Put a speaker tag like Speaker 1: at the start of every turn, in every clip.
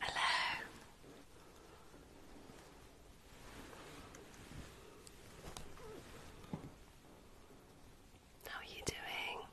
Speaker 1: Hello. How are you doing?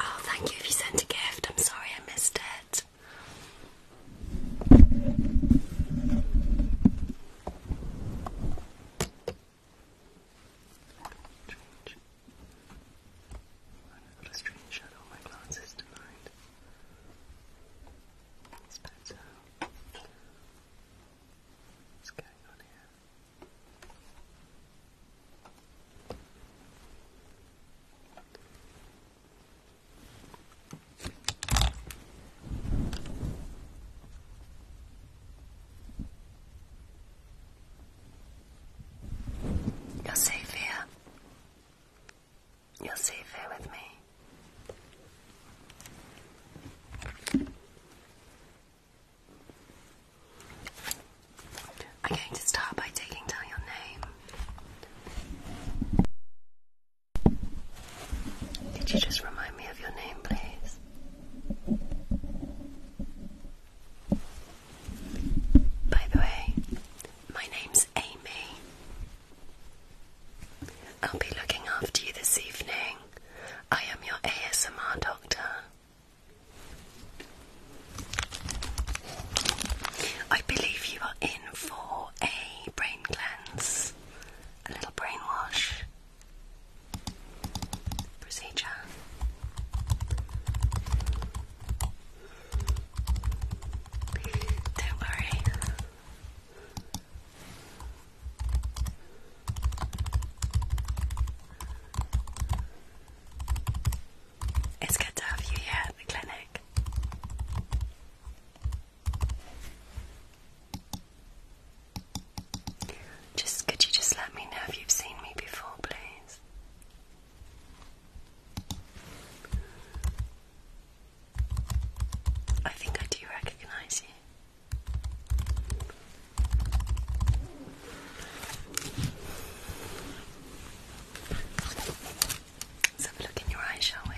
Speaker 1: Oh, thank you if you a gift. I'm sorry I missed it. Strange. I've got a strange shadow on my glasses tonight. It's better. What's going on here? You're safe here. You're safe here with me. I'm going to start by taking down your name. Could you just remind me of your name, please? By the way, my name's Amy. I'll be looking after you this evening. I am your ASMR doctor. I believe you are in for a brain cleanse a little brainwash procedure. Don't worry. It's good to have you here at the clinic. Just could you just let me know if you've seen me before, please? I think I do recognize you. Let's have a look in your eye, shall we?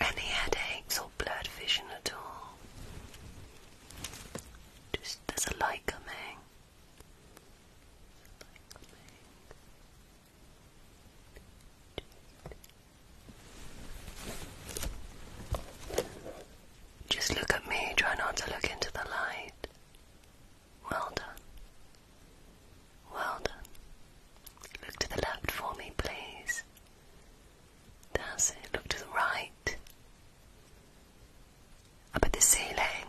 Speaker 1: Any headaches or blurred vision at all? Just there's a light coming. Just look at me, try not to look into the light. Well done. Well done. Look to the left for me, please. That's Look to the right. Up at the ceiling.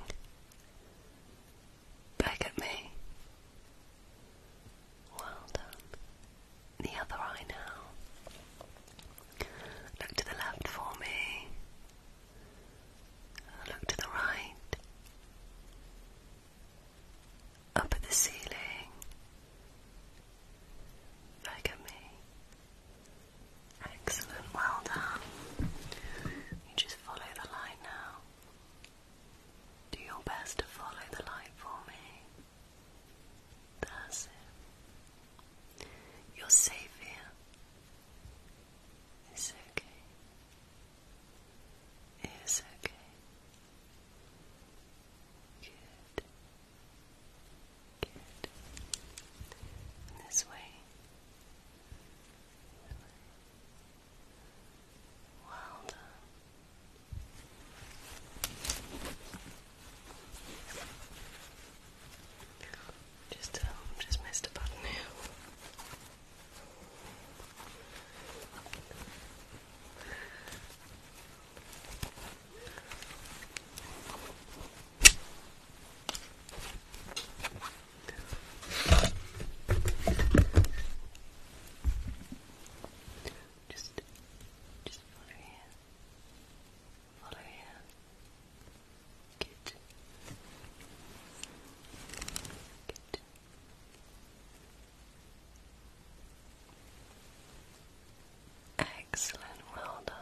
Speaker 1: Back at me. Well done. The other eye now. Look to the left for me. Look to the right, up at the ceiling. Look at me. Excellent, well done. You just follow the light now. Do your best to follow the light for me. That's it. You're safe here. It's okay is okay. Good. Good. this way. Well Just, um, just missed a button now. Just, just follow here. Follow here. Good. Good. Excellent, well done.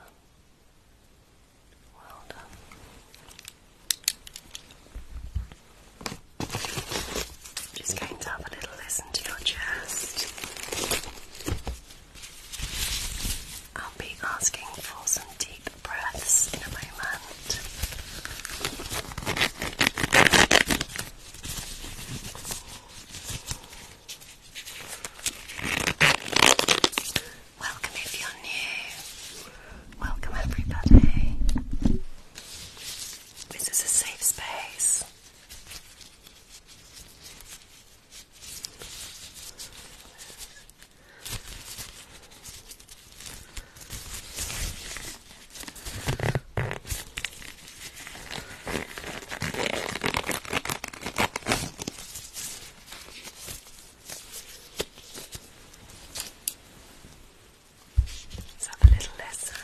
Speaker 1: Well done. Just going to have a little listen to your chest. I'll be asking for some deep Welcome if you're new. Welcome everybody. This is a safe space.
Speaker 2: Let's have a little lesson.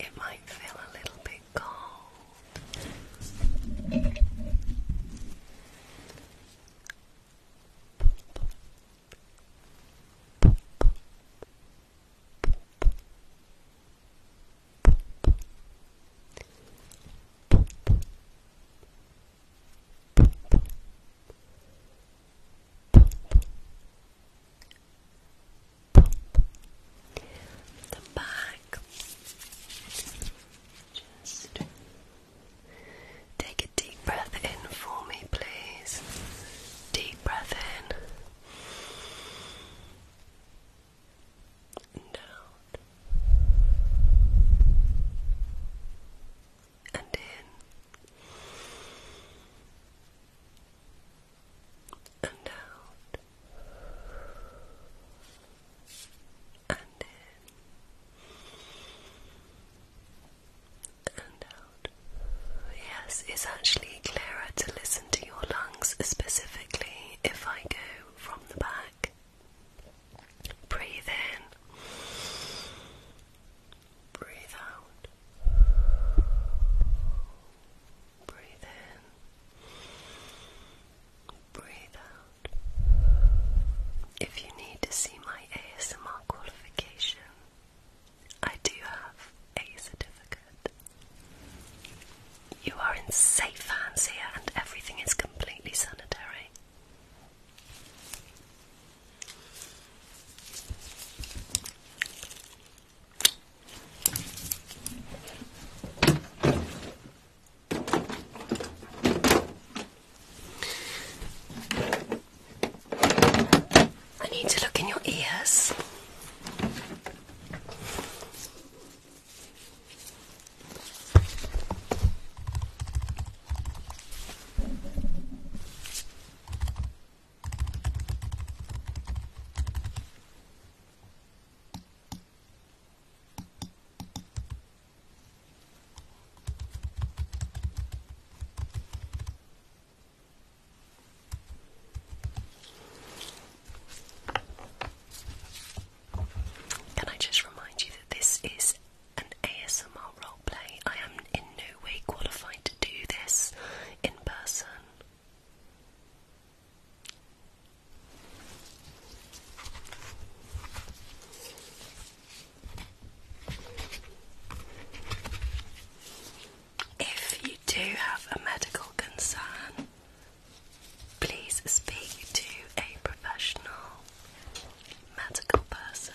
Speaker 2: It might feel a little bit cold
Speaker 1: pump, back. Just take a deep breath in for me, please. Deep breath in. And and in and out and in and out. Yes, it's actually clearer to listen to your lungs specifically if I go from the back. Breathe in Breathe out. Breathe in. Breathe out. If you need to see my ASMR qualification, I do have a certificate. You are in safe hands here, and everything is completely sanitary. I need to look in your ears. Can I just remind you that this is an ASMR role? roleplay. I am in no way qualified to do this in person. If you do have a medical concern, please speak to a professional medical person.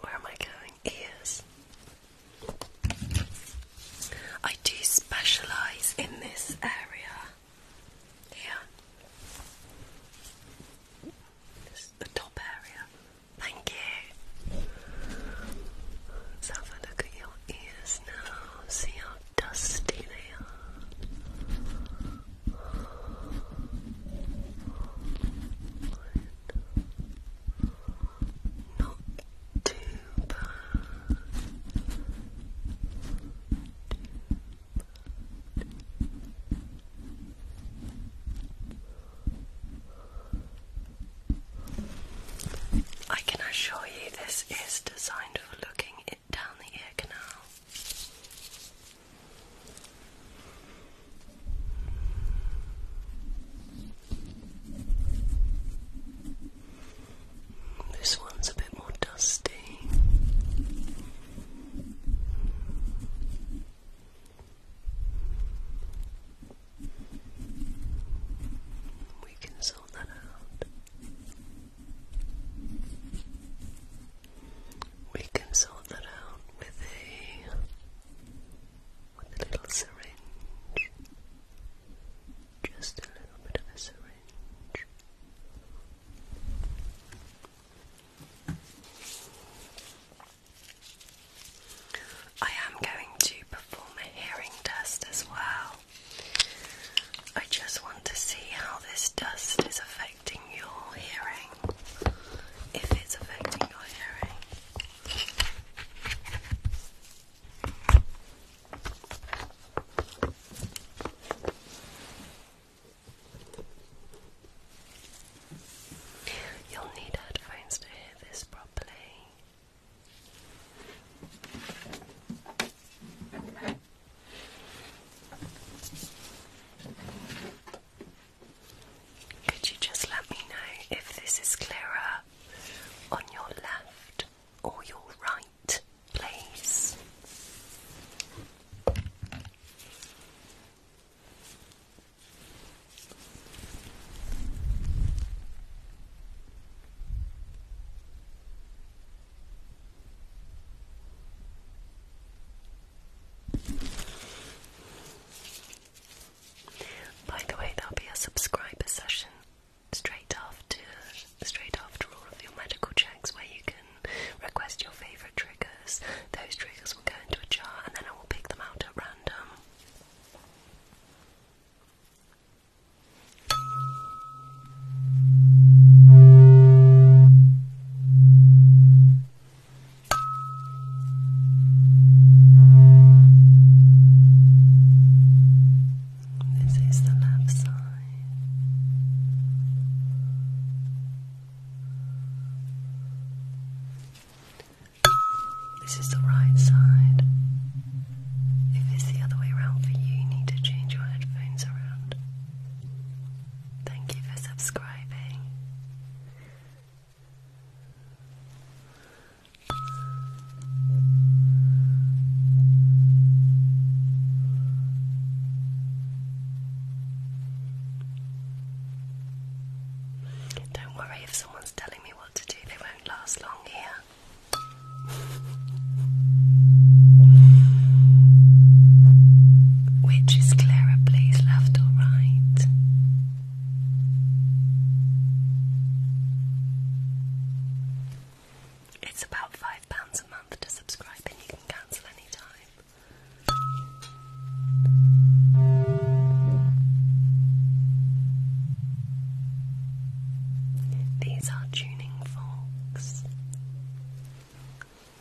Speaker 1: Where am I going? Ears. I do specialise in this area here. This is the top area. Thank you. have a look at your ears now. See how dusty they are. Not too bad. I can assure you this is designed for looking it down the ear canal. This one's a bit more dusty. We can sort that out. We can sort that out with a with a little syringe. Just a little bit of a syringe. I am going to perform a hearing test as well. I just want to see how this dust is affecting. If it's affecting your hearing. You'll need headphones to hear this properly. Could you just let me know if this is clearer on your left or your right, please? By the way, there'll be a subscriber session straight after straight after all of your medical checks where you can request your favourite triggers. Those triggers will go into a jar and then I will pick them out at random. This is the left side. This is the right side. If it's the other way around for you, you need to change your headphones around. Thank you for subscribing. Don't worry if someone's telling me what to do, they won't last long here. Which is Clara, please, left or right? It's about five pounds a month to subscribe, and you can cancel any These are tuning forks.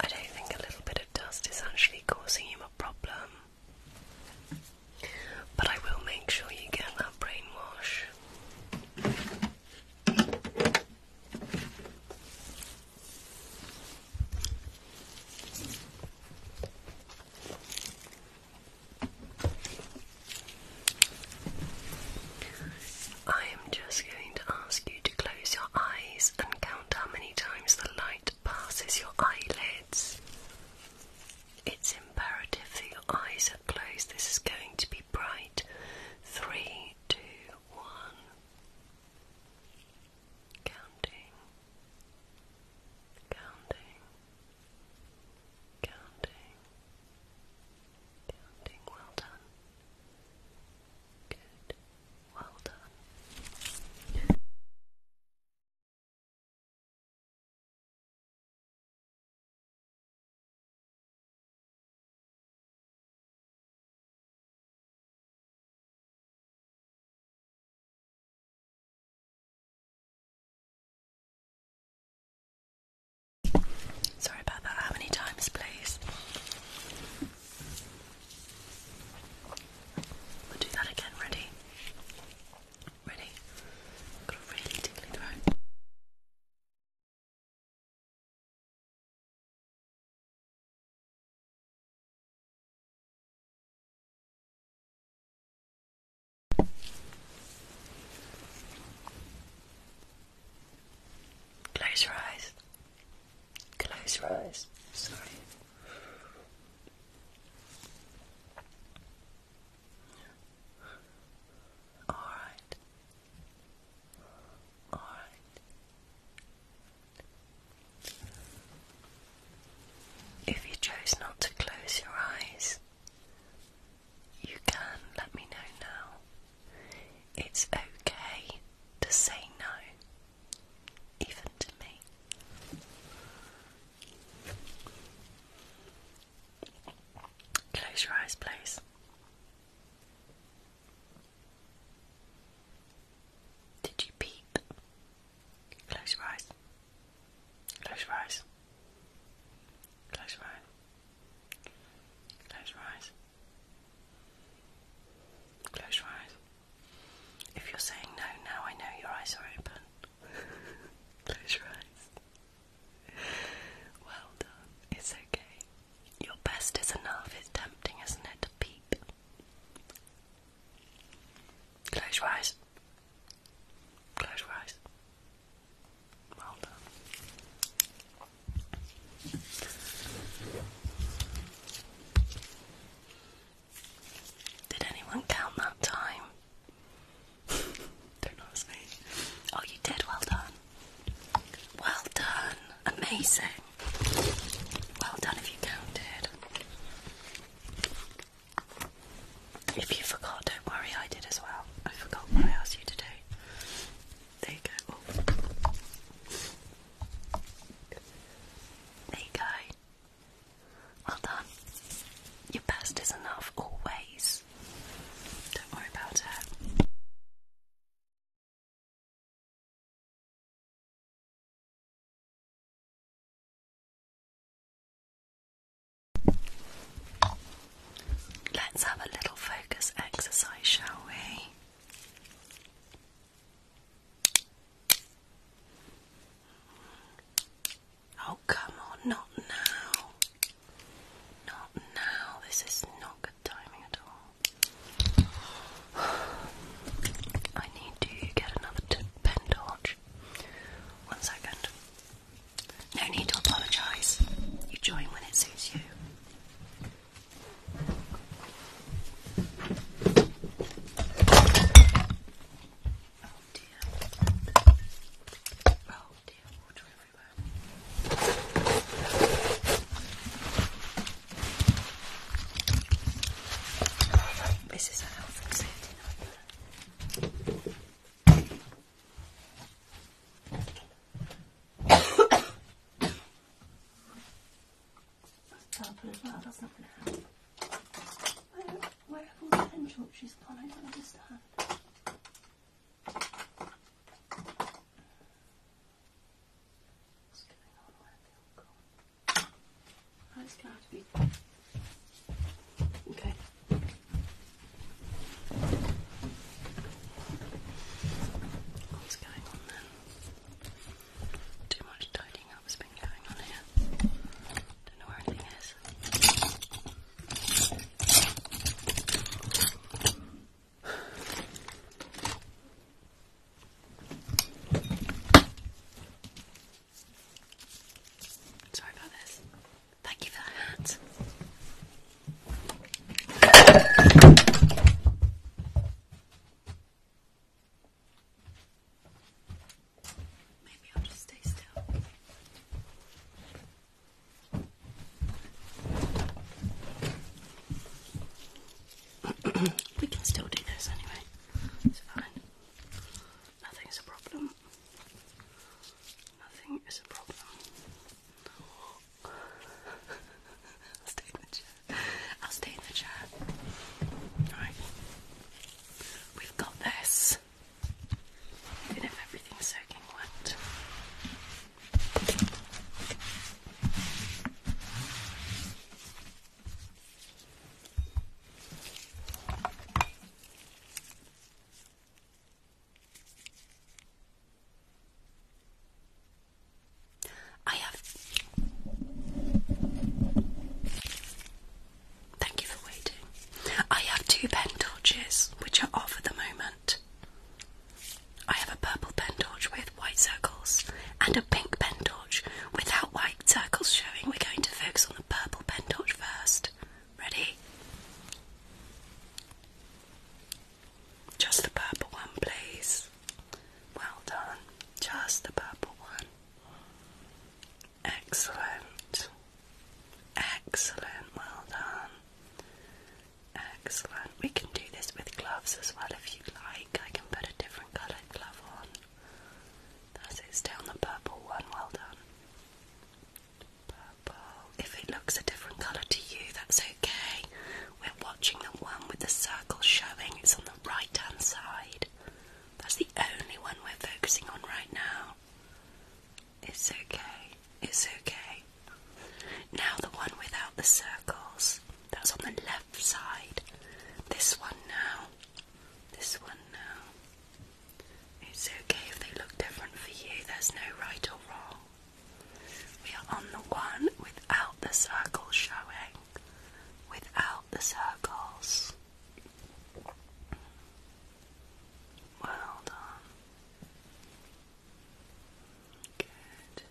Speaker 1: I don't think a little bit of dust is actually causing him a problem. But I will make sure you get that brainwash. I am just going to ask you to close your eyes and count how many times the light passes your eyelids. It's imperative that your eyes are closed. This is going to be bright. Three, two, one. Counting. Counting. Counting. Counting. Well done. Good. Well done.
Speaker 2: Sorry about that. How many times, please?
Speaker 1: We'll do that again. Ready? Ready? got a really tickly throat. Close your eyes. Close your eyes. Sorry. All right. All right. If you chose not to close your eyes, you can let me know now. It's okay to say no, even to me. Close your eyes, please. Did you peep? Close your eyes. Close your eyes. Close your eyes. Close your eyes. Close your eyes. If you're saying no now, I know your eyes are open. Close your eyes. Well done. It's okay. Your best is enough. It's tempting, isn't it, to peek? Close your eyes. Close your eyes. Well Did anyone count that time? Don't ask me. Oh, you did. Well done. Well done. Amazing. Well done if you counted. If you forgot, don't worry, I did as well. I forgot what I asked you to do. There you go. There you go. Well done. Your best is enough always.
Speaker 2: Don't worry about it.
Speaker 1: Let's have a little focus exercise, shall we? Oh, come on, not now. Not now. This is not good timing at all. I need to get another pen torch. One second. No need to apologise. You join when it suits you. Oh dear. Oh dear, This is a health and nightmare. That's purple as well, that's not going to help. Where, have all the pen gone? I don't understand. What's going on? Where have they all gone? Oh, it's going to be. Okay. What's going on then? Too much tidying up's been going on here. Don't know where anything is. Sorry about this. Thank you for the hat. Maybe I'll just stay still. we can still do this anyway. It's fine. Nothing is a problem. Nothing is a problem. I'll stay in the chair. I'll stay in the chair. Alright. We've got this. Even if everything's soaking wet. I have. Thank you for waiting. I have two pen torches which are off at the moment. I have a purple pen torch with white circles and a pink pen torch without white circles showing. We're going to focus on the purple pen torch first. Ready? Just the purple one, please. Well done. Just the purple one. Excellent. Excellent. Well done. Excellent. We can do this with gloves as well if you'd like. I can put a different coloured glove on. That's it. Stay on the purple one. Well done purple. If it looks a different colour to you, that's okay. We're watching the one with the circle showing. It's on the right hand side. That's the only one we're focusing on right now. It's okay. It's okay. Now the one without the circles. That's on the left side. This one now. This one now. It's okay if they look different for you. There's no right or wrong. We are on the one without the circles showing. Without the circles. Well done. Good.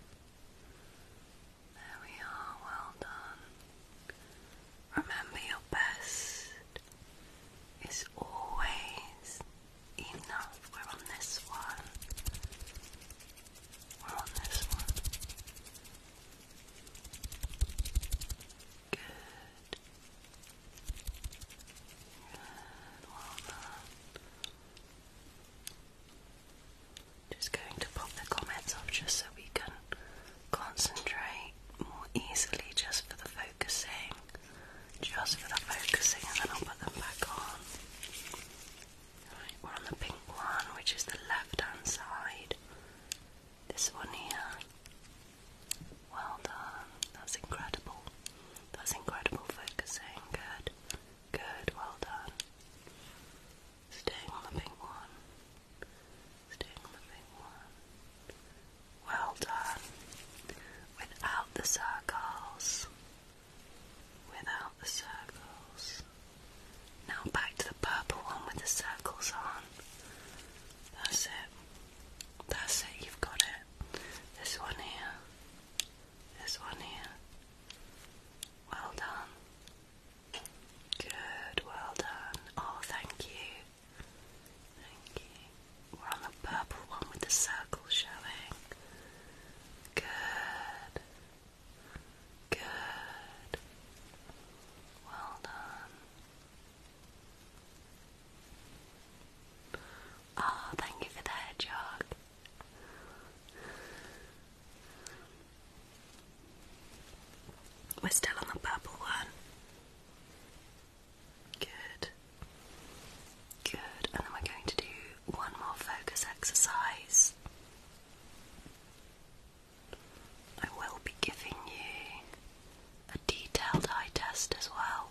Speaker 1: There we are, well done. Remember your best is always enough. We're on this one. We're on this one. Good. Good. Well done. Just going to pop the comments off just so we can concentrate more easily just for the focusing just for the focusing and then I'll put them back on. Right, we're on the pink one, which is the left hand side. This one here. Well done. That's incredible. That's incredible focusing. Good. Good, well done. Staying on the pink one. Staying on the pink one. Well done. Without the circles without the circles. Now back to the purple one with the circles on. That's it. That's it, you've got it. This one here. This one here. Well done. Good, well done. Oh, thank you. Thank you. We're on the purple one with the circle showing. Good. Good. Well done. Oh, thank you for the hedgehog. We're still on the purple one. Good. Good, and then we're going to do one more focus exercise. I will be giving you a detailed eye test as well.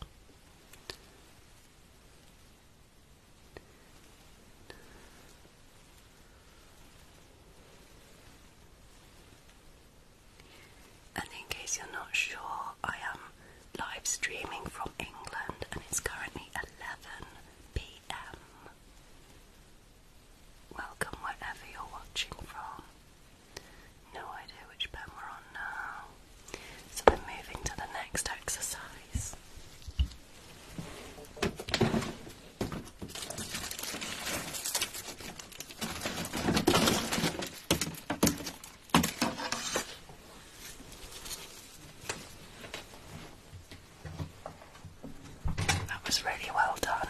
Speaker 1: And in case you're not sure, I am live streaming from England, and it's currently 11 pm. Welcome wherever you're watching from. No idea which pen we're on now. So we're moving to the next exercise. That was really well done.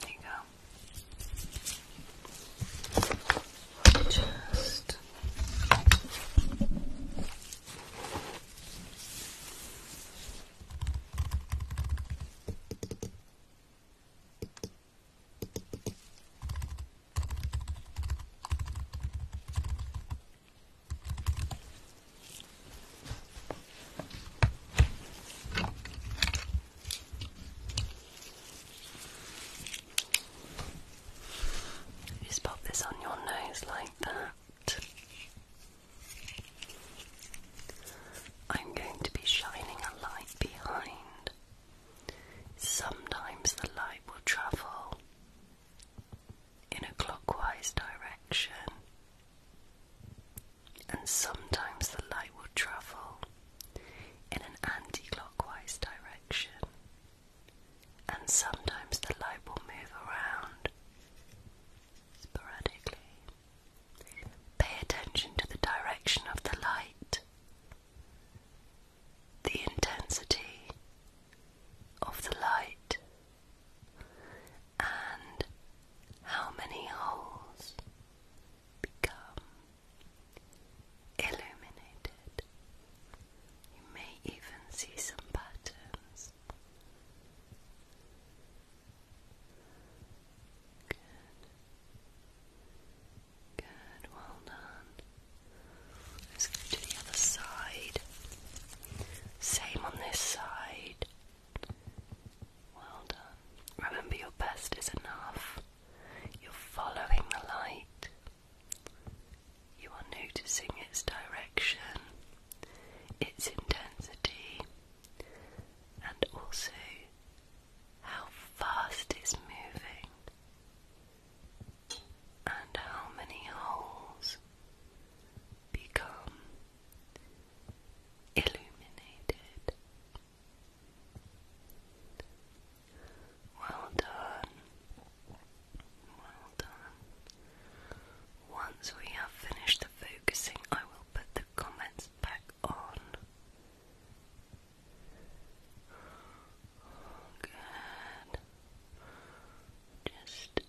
Speaker 1: There you go. Just just pop this on your nose like that. I'm going to be shining a light behind. Sometimes the light will travel in a clockwise direction, and sometimes the light will travel in an anti clockwise direction, and sometimes the light will move around sporadically. Pay attention to the direction of the light, the intensity of the light, and how many holes become illuminated. You may even see some patterns. Good. Good, well done. Let's go the other side. Same on this side. Well done. Remember, your best is enough. You're following the light. You are noticing its direction, its intensity, and also how fast it's moving, and how many holes become illuminated. Well done. Well done. Once we have finished the focusing, I will put the comments back on. Just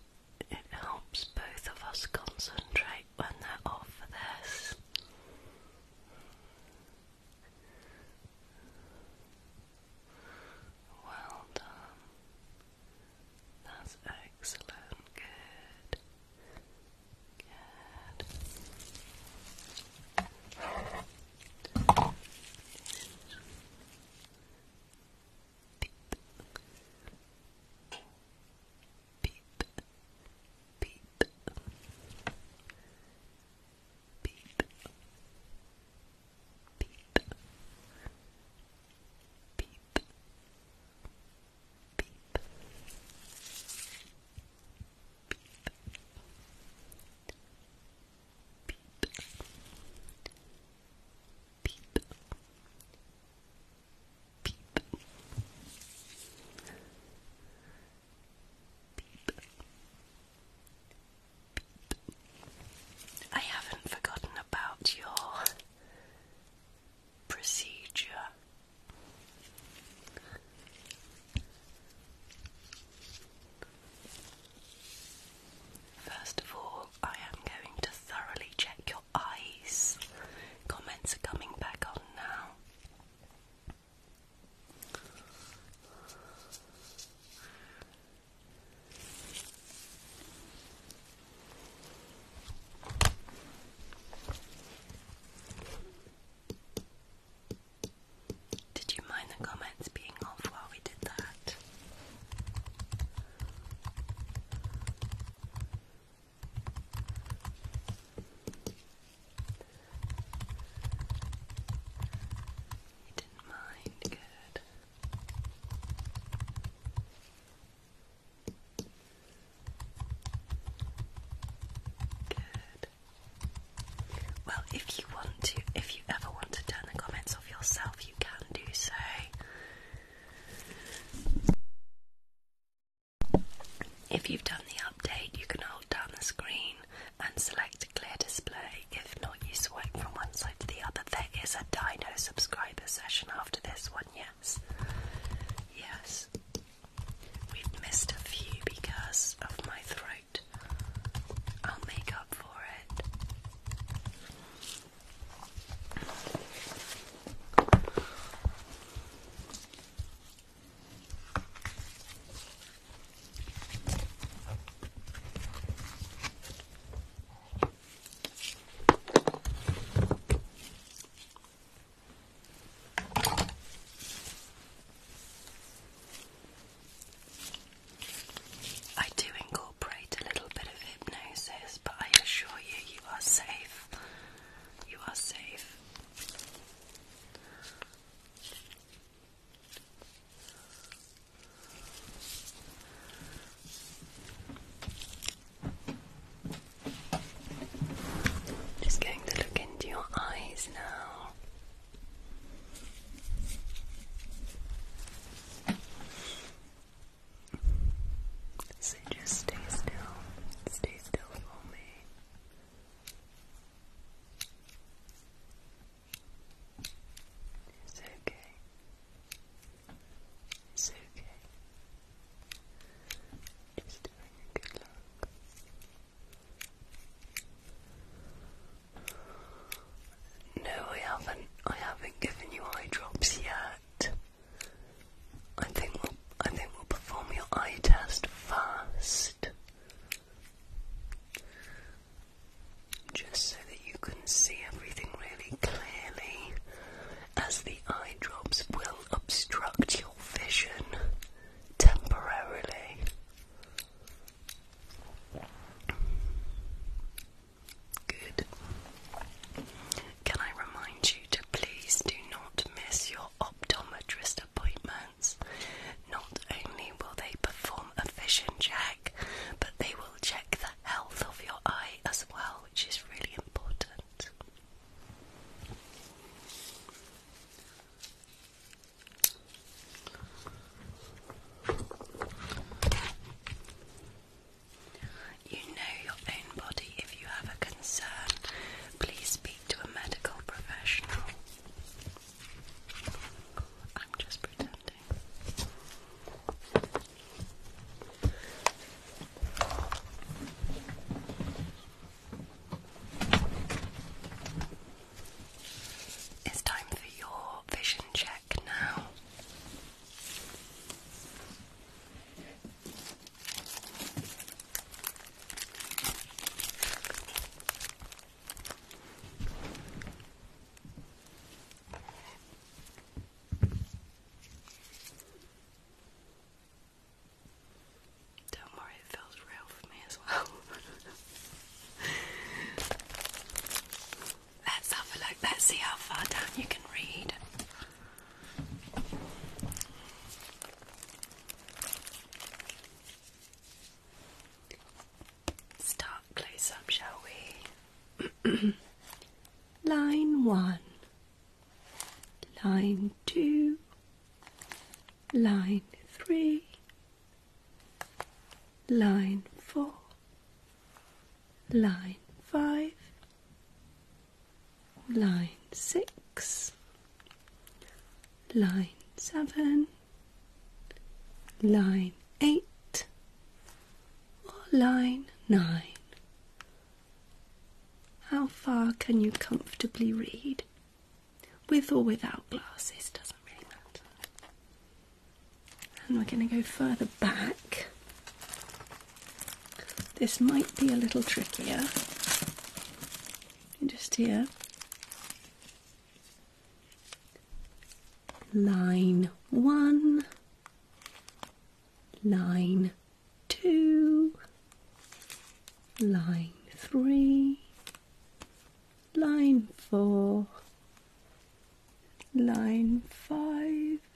Speaker 1: it helps both of us concentrate when they're off for this. Well done. That's excellent. Good. Good. Beep. Beep. Beep. Beep. Beep. Beep. Beep. I haven't forgotten about your procedure. First of all, I am going to thoroughly check your eyes. Comments are coming back on now. Did you mind the comments being off while we did that? You didn't mind, good. Good. Well, if you want to, if you ever want to turn the comments off yourself, you can do so. If you've done the update, you can hold down the screen and select clear display. If not, you swipe from one side to the other. There is a Dino subscriber session after this one, yes. Yes. We've missed a few because of my throat. I'll make up for it. I do incorporate a little bit of hypnosis, but I assure you, you are safe. You are safe. Just going to look into your eyes now. So just stay still. Stay still for me. It's okay. It's okay. Just having a good look. No, I haven't. I haven't given you eye drops yet. I think we'll. I think we'll perform your eye test fast, just so that you can see everything really clearly, as the eye drops will obstruct your vision temporarily. Good. Can I remind you to please do not miss your optometrist appointments? Not only will they perform a vision check, but they will check the health of your eye as well, which is really important. You know your own body. If you have a concern, please speak to a medical professional. I'm just pretending. It's time for your vision check now. Don't worry, it feels real for me as well. Let's have a look, let's see how far down you can read. Start close up, shall we? Line one, line two, line three, line four, line five,
Speaker 3: line six, line seven, line eight, or line nine. How far can you comfortably read? With or without glasses, doesn't really matter. And we're going to go further back. This might be a little trickier. Just here.
Speaker 1: Line one, line
Speaker 3: two, line three, line four, line five,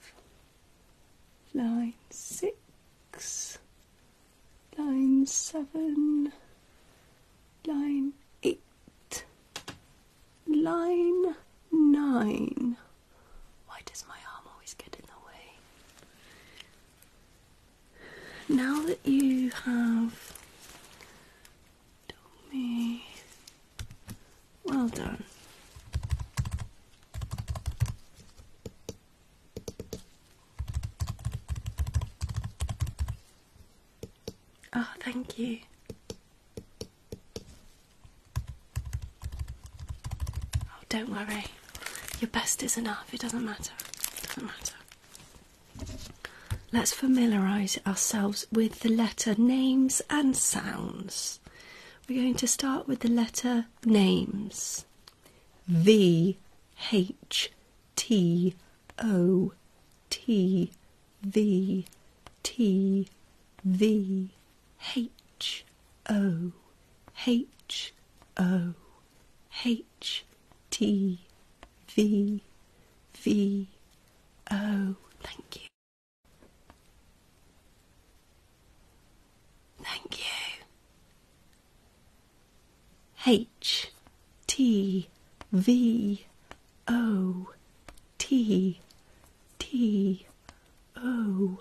Speaker 3: line six, line seven, line eight, line nine.
Speaker 1: Why does my arm always get in the way?
Speaker 3: Now that you
Speaker 1: have told me, well done. Oh, thank you. Oh, don't worry. Your best is enough. It doesn't matter. It doesn't
Speaker 3: matter. Let's familiarise ourselves with the letter names and sounds. We're going to start with the letter names V H T O T V T V H O H O H H T V V O. Thank you. Thank you. H T V O T T O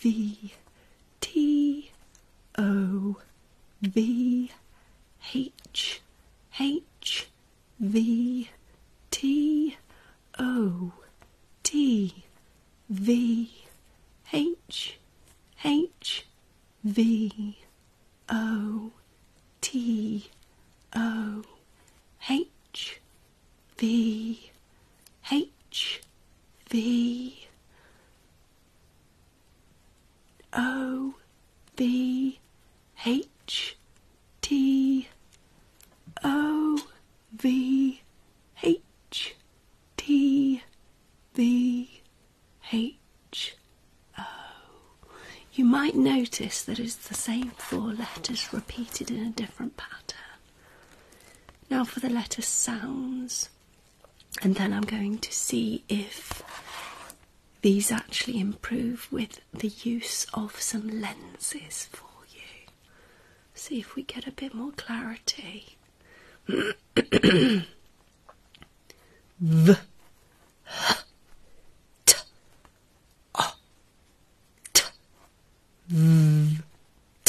Speaker 3: V T O V H H V T O T V H H V O T O H V H V O B H T O V H T V H O. You might notice that
Speaker 1: it's the same four letters repeated in a different pattern. Now
Speaker 3: for the letter sounds and then I'm going to see if these actually improve with the use of some lenses for you. See if we get a bit more clarity.
Speaker 4: v h t o t v t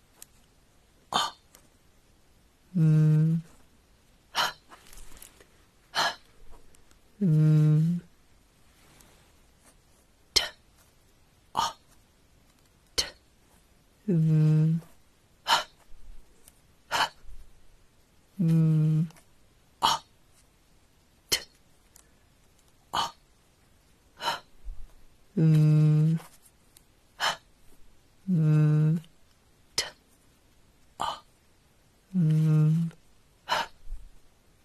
Speaker 4: 아, 음, 하, 하, 음, 트, 아, 트, 음, 하, 하, 음. 음, m t a m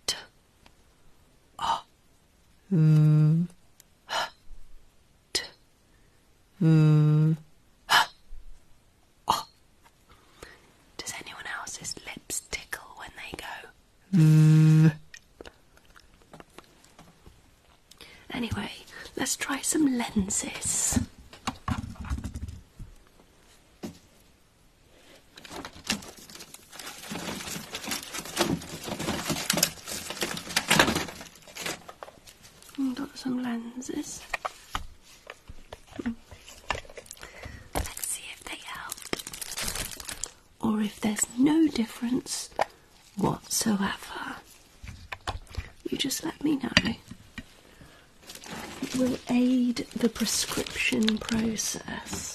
Speaker 4: t a m t
Speaker 1: m Does anyone else's lips tickle when they go? Anyway, let's try some lenses. Got some lenses.
Speaker 3: Let's see if they help, or if there's no difference whatsoever. You just let me know. It will aid the prescription
Speaker 1: process.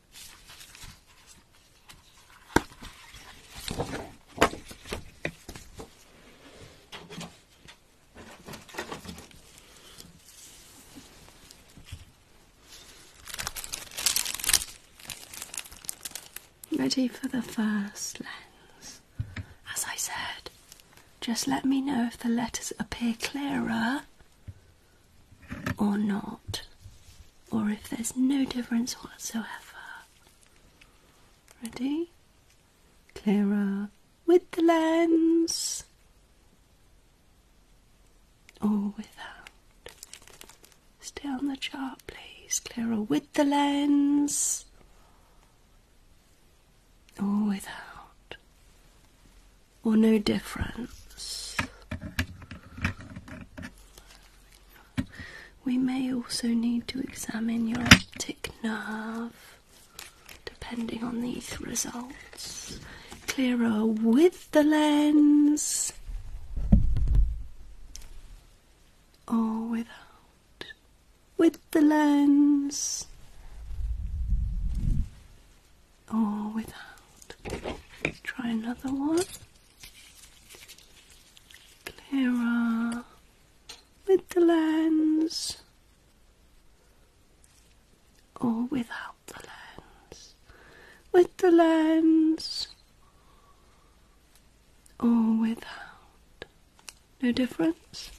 Speaker 3: Ready for the first lens. As I said, just let me know if the letters appear
Speaker 1: clearer or not or if there's no difference whatsoever. Ready?
Speaker 3: Clara with the lens or without.
Speaker 1: Stay on the chart,
Speaker 3: please. Clara
Speaker 1: with the lens or without, or no difference. We may also need to examine your optic nerve depending on these results.
Speaker 3: Clearer with the lens or without. With the lens or without.
Speaker 1: Let's try another one. Clara,
Speaker 3: with the lens or without the lens, with the lens or without. No difference?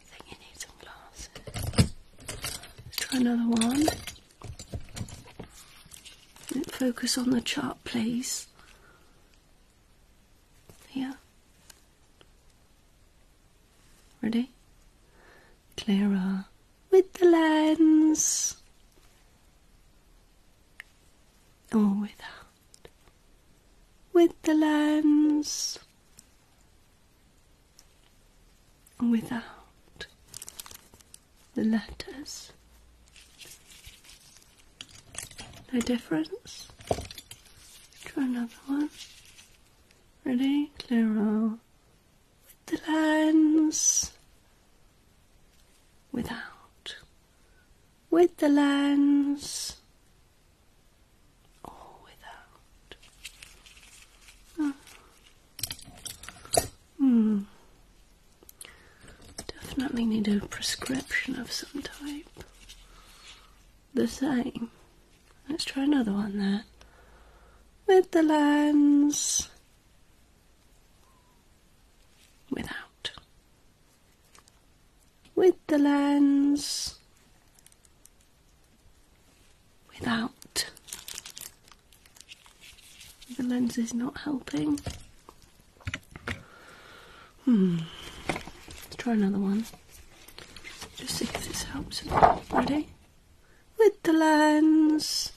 Speaker 3: I think you need some glasses. Let's try another
Speaker 1: one. Focus on the chart, please. Yeah. Ready? Clara with the lens. Or without. With the lens. Without the letters. No difference. Try another one. Ready? Clear the lines. Without. With the
Speaker 3: lines. Or without. Ah. Hmm.
Speaker 1: Definitely need a prescription of some type. The same. Let's try another one there. With the
Speaker 3: lens. Without. With the lens. Without. The
Speaker 1: lens is not helping. Hmm. Let's try another one. Just see if this helps. Ready? With the lens.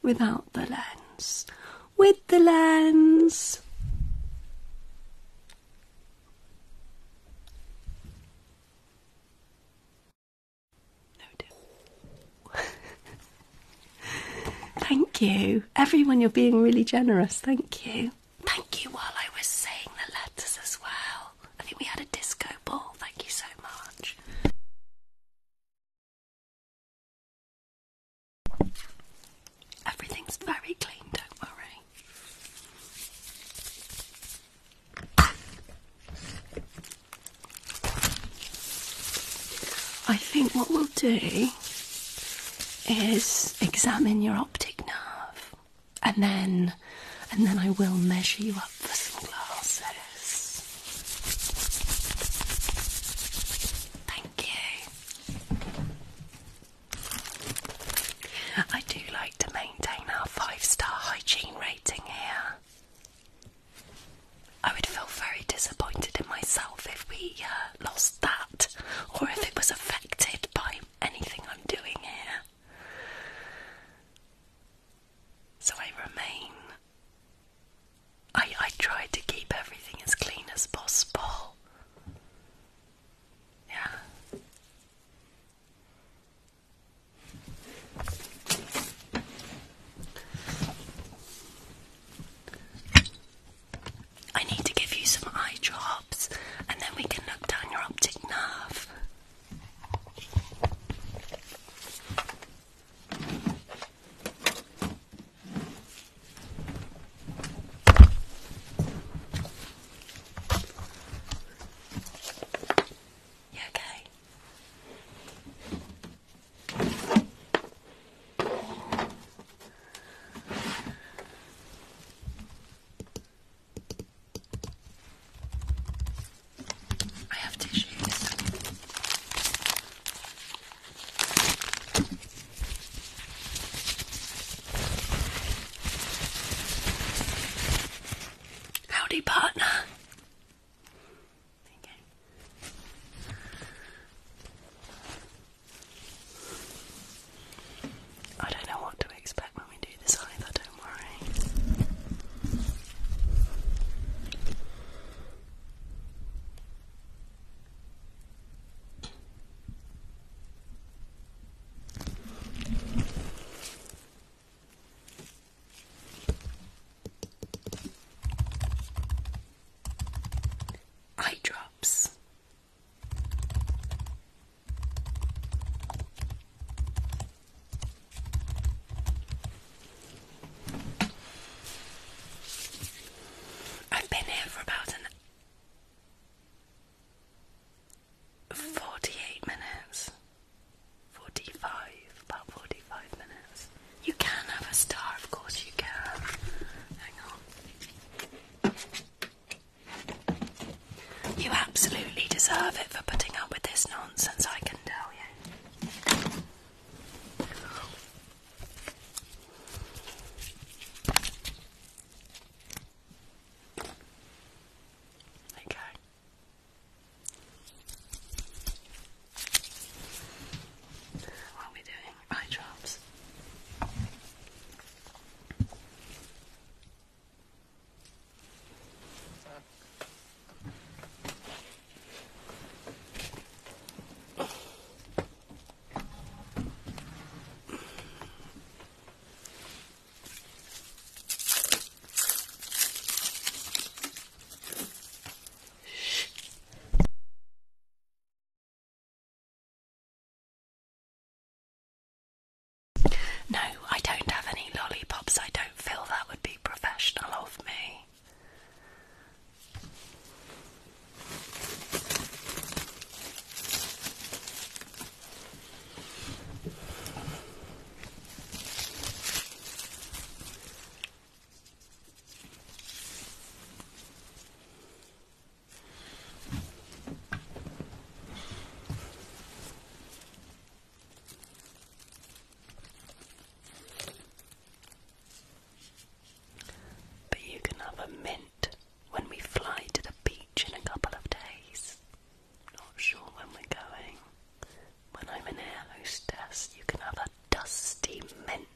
Speaker 1: Without the lens. With the lens.
Speaker 3: Thank you. Everyone, you're being really generous. Thank you. Thank you while I
Speaker 1: was saying the letters as well. I think we had a disco ball. Thank you so much. Everything's very clean, don't worry. I think what we'll do is examine your optic nerve and then and then I will measure you up for some glasses. Thank you. I do like to maintain our five star hygiene rating here. I would feel very disappointed in myself if we uh, lost that or if it was affected by anything I'm doing here. So I remain. I, I try to keep everything as clean as possible. Yeah. I need to give you some eye drops and then we can look down your optic nerve. You okay? I have tissue. Howdy, partner. I don't know what to expect when we do this either, don't worry. Eye drops. I've been here for about an 48 minutes. 45, about 45 minutes. You can have a star, of course you can. Hang on. You absolutely deserve it for putting up with this nonsense, I can tell you. Okay. What are we doing? Eye drops.
Speaker 2: No, I don't have
Speaker 1: any lollipops. I don't feel that would be professional of me. But you can have a mint when we fly to the beach in a couple of days. Not sure when we're going when I'm an air hostess, you can have a dusty mint.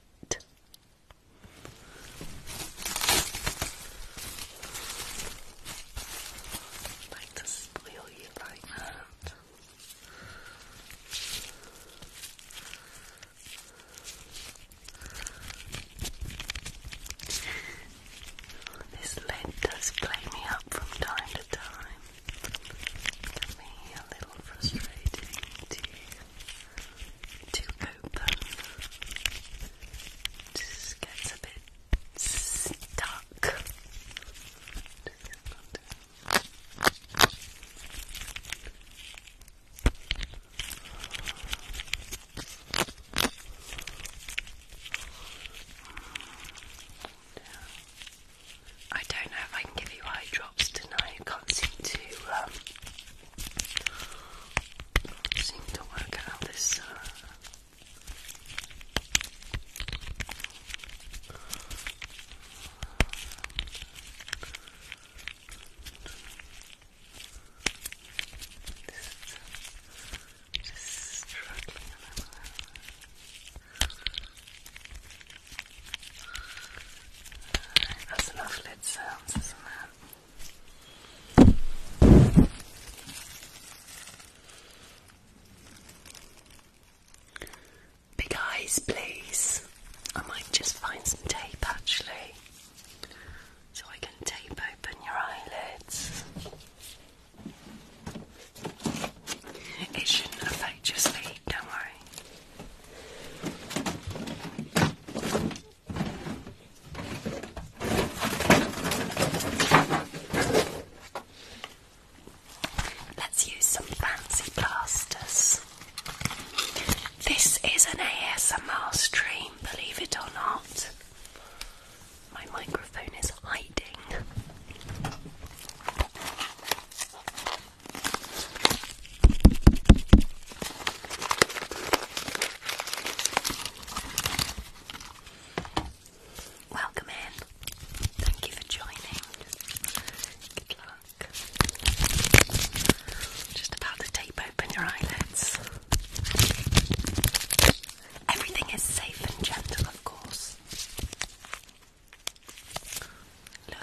Speaker 1: like to spoil you like that. This lid does play me up from time to time definitely a little frustrating to, to open. Just gets a bit stuck. I don't know if I can give you eye drops tonight. can't seem to, um, seem to work out this. Uh, uh, just struggling a little. That's enough lid sounds, isn't it? Big eyes, please. I might just find some tape actually, so I can tape open your eyelids. It shouldn't affect your sleep, don't worry. Let's use some fancy plasters. This is an ASMR stream, believe it or not. My microphone is hiding. Welcome in. Thank you for joining. Good luck. Just about to tape open your eyelids. Everything is safe and gentle, of course. Look.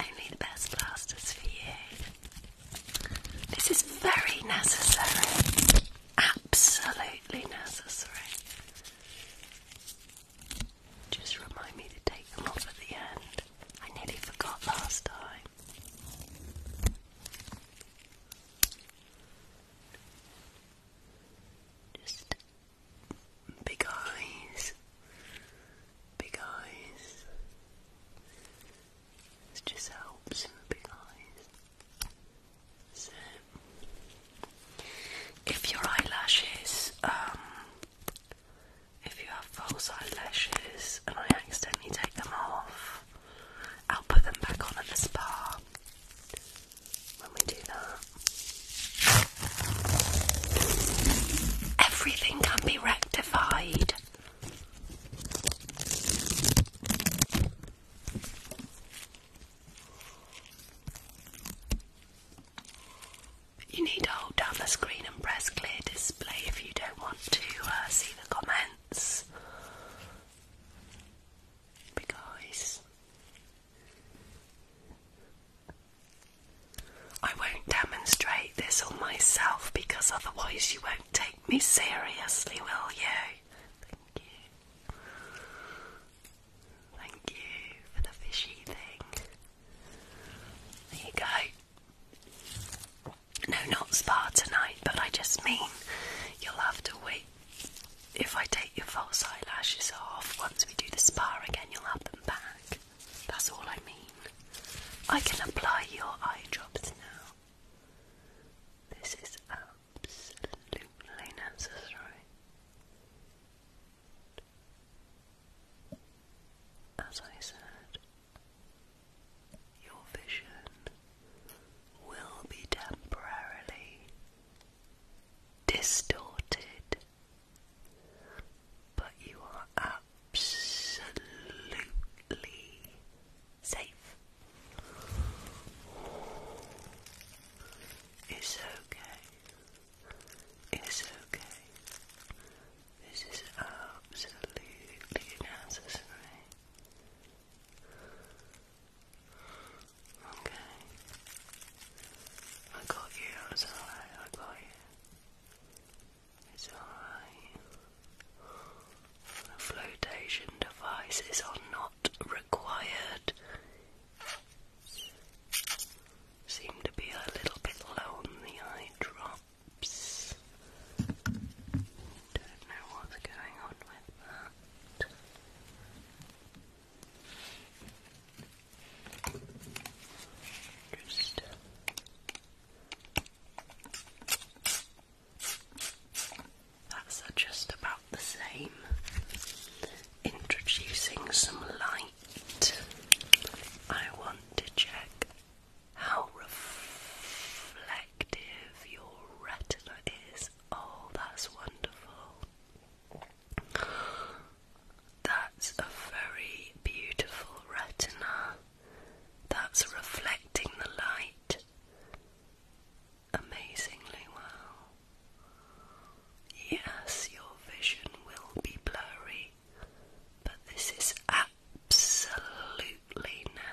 Speaker 1: Only the best plasters for you. This is very necessary. Absolutely necessary. Just remind me to take them off at the end. I nearly forgot last time. Just big eyes, big eyes. This just helps. Big eyes. So if your eyelashes, um, if you have false eyelashes and I accidentally take them off, I'll put them back on at the spa when we do that. Everything can be rectified. You need to hold down the screen and press clear display if you don't want to uh, see the comments. Because I won't demonstrate this on myself because otherwise you won't take me seriously, will you. Thank you for the fishy thing. There you go. No, not spa tonight, but I just mean you'll have to wait. If I take your false eyelashes off, once we do the spa again, you'll have them back. That's all I mean. I can apply your eye drops now. This is absolutely necessary. As I said, your vision will be temporarily distorted, but you are absolutely safe. It's okay. It's okay. This is absolutely nuts, Okay. I got you, it's alright, I got you. It's alright. The devices are not required seem to be a little bit low on the eye drops. Don't know what's going on with that. Just that's just about the same. Introducing some light I want to check how reflective your retina is. Oh, that's wonderful. That's a very beautiful retina. That's reflecting the light amazingly well. Yes, your vision will be blurry, but this is absolutely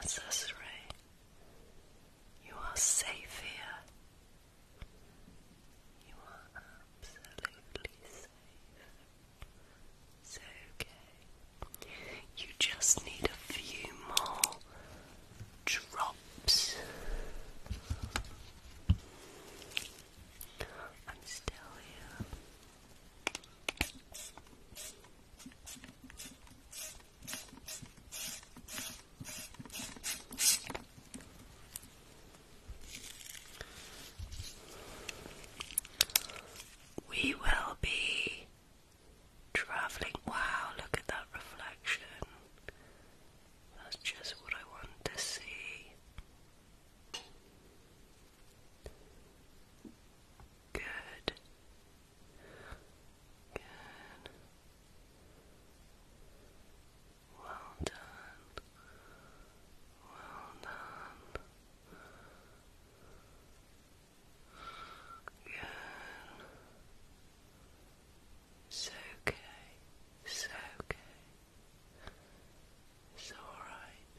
Speaker 1: necessary. You are safe here. You are absolutely safe. It's okay. You just need a few more drops. I'm still here. We will be travelling. Wow, look at that reflection. That's just what I want to see. Good. Good. Well done. Well done. Good. It's okay. It's okay. It's alright.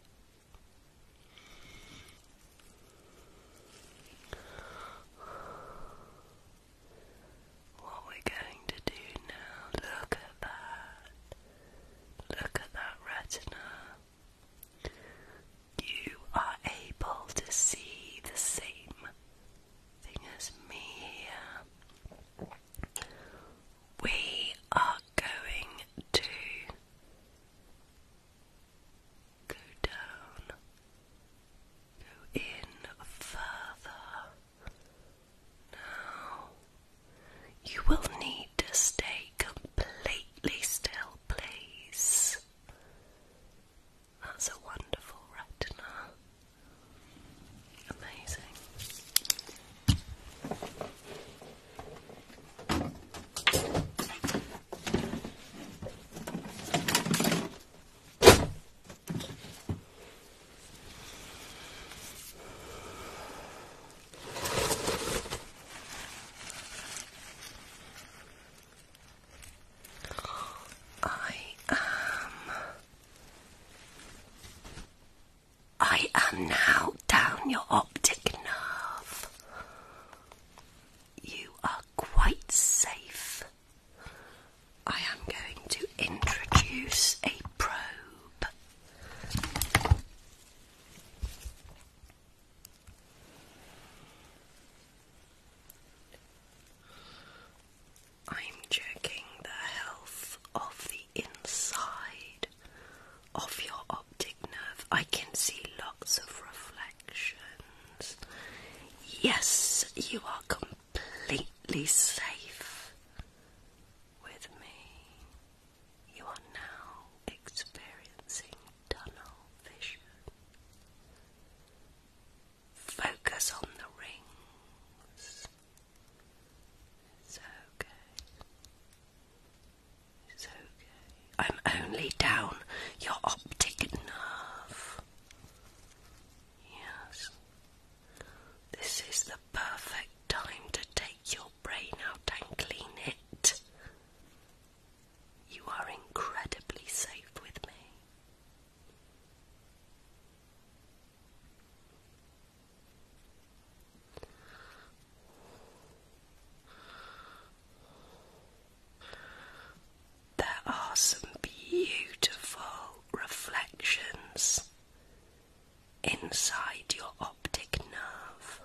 Speaker 1: What we're going to do now, look at that. Look at that retina. You are able to see the same thing as me we are going to go down, go in further. Now, you will need to stay completely still, please. That's a wonderful retina. Amazing. I am I am now down your optic nerve. You are quite safe. I am going to introduce a probe. I'm checking the health of inside of your optic nerve. I can see lots of reflections. Yes, you are completely safe with me. You are now experiencing tunnel vision. Focus on the rings it's okay. It's okay. I'm only down your optic nerve. Yes. This is the perfect time to take your brain out and clean it. You are incredibly safe with me. There are some beautiful reflections inside your optic nerve.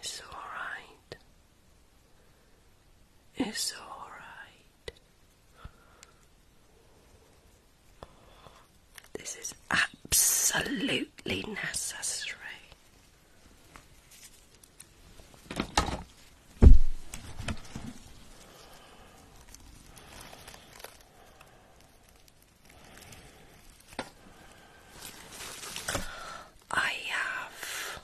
Speaker 1: It's alright. It's alright. This is absolutely necessary. I have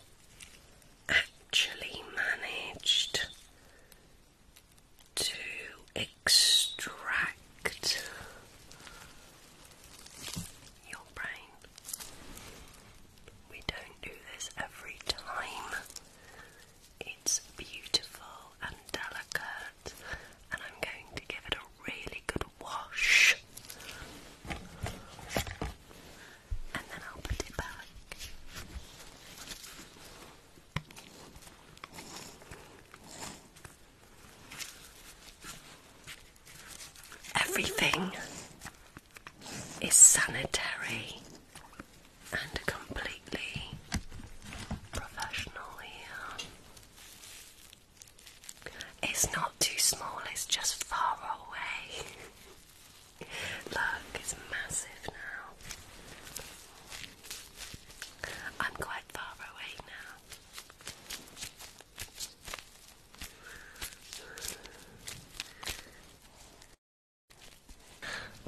Speaker 1: actually managed to extract your brain. We don't do this every time. It's beautiful and delicate, and I'm going to give it a really good wash. And then I'll put it back. Everything is sanitary and completely professional here. It's not too small, it's just far away. Look, it's massive now. I'm quite far away now.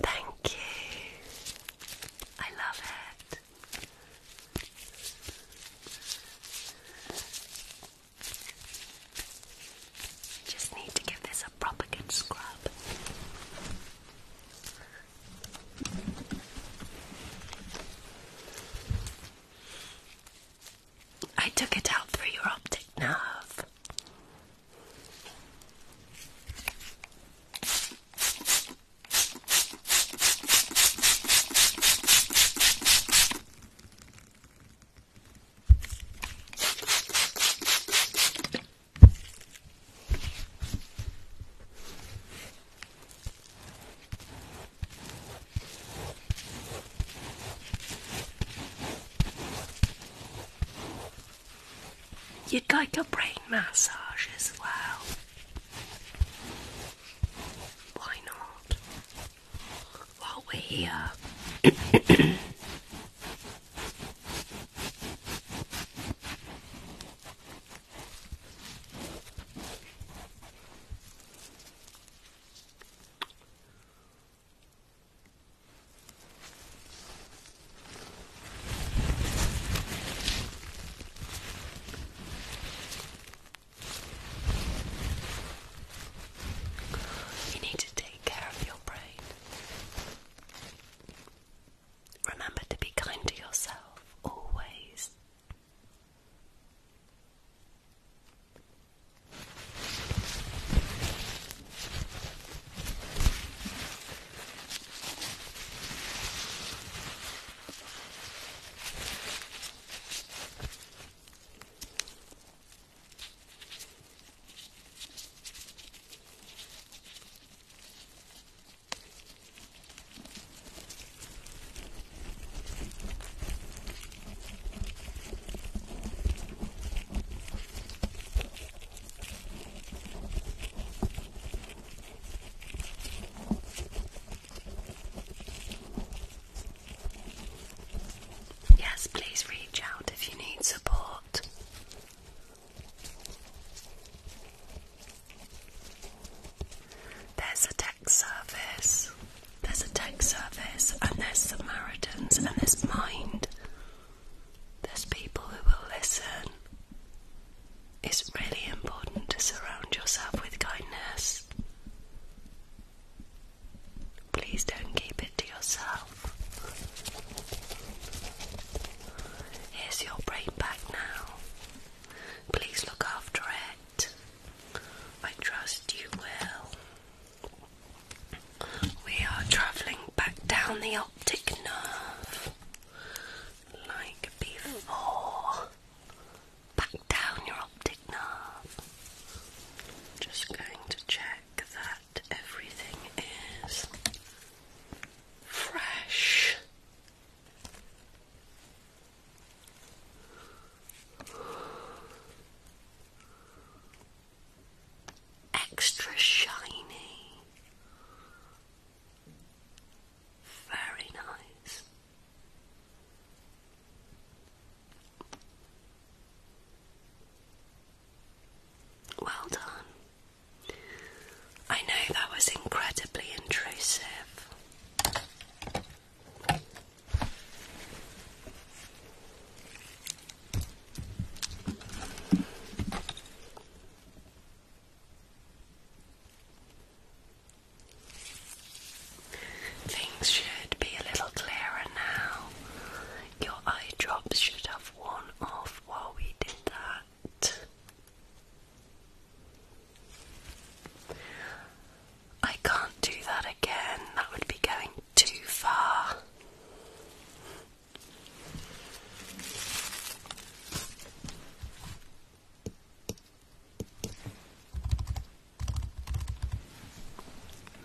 Speaker 2: Thank you. I love it.
Speaker 1: Just need to give this a proper good scrub. I took it out through your optic nerve. You'd like a brain massage as well. Why not? While we're here. You need to take care of your brain. Remember to be kind to yourself always. Yes, please reach out if you need support. There's a tech service. There's a tech service, and there's Samaritans, and there's Mind. There's people who will listen. It's really important to surround yourself with kindness. Please don't keep it to yourself. Here's your brain back now. Please look after it. I trust you will. We are travelling back down the optic nerve like before. Back down your optic nerve. Just going to check that everything is fresh. Extra shiny, very nice. Well done. I know that was incredibly intrusive. Things should be a little clearer now. Your eye drops should have worn off while we did that. I can't do that again, that would be going too far.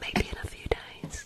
Speaker 1: Maybe in a few days.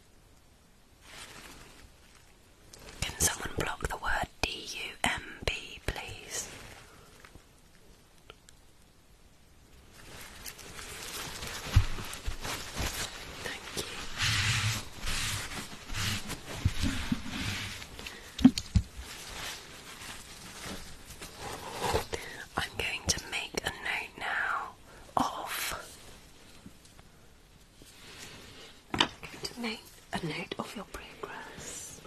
Speaker 1: Can someone block the word D-U-M-B, please? Thank you. I'm going to make a note now of. I'm a note of your progress.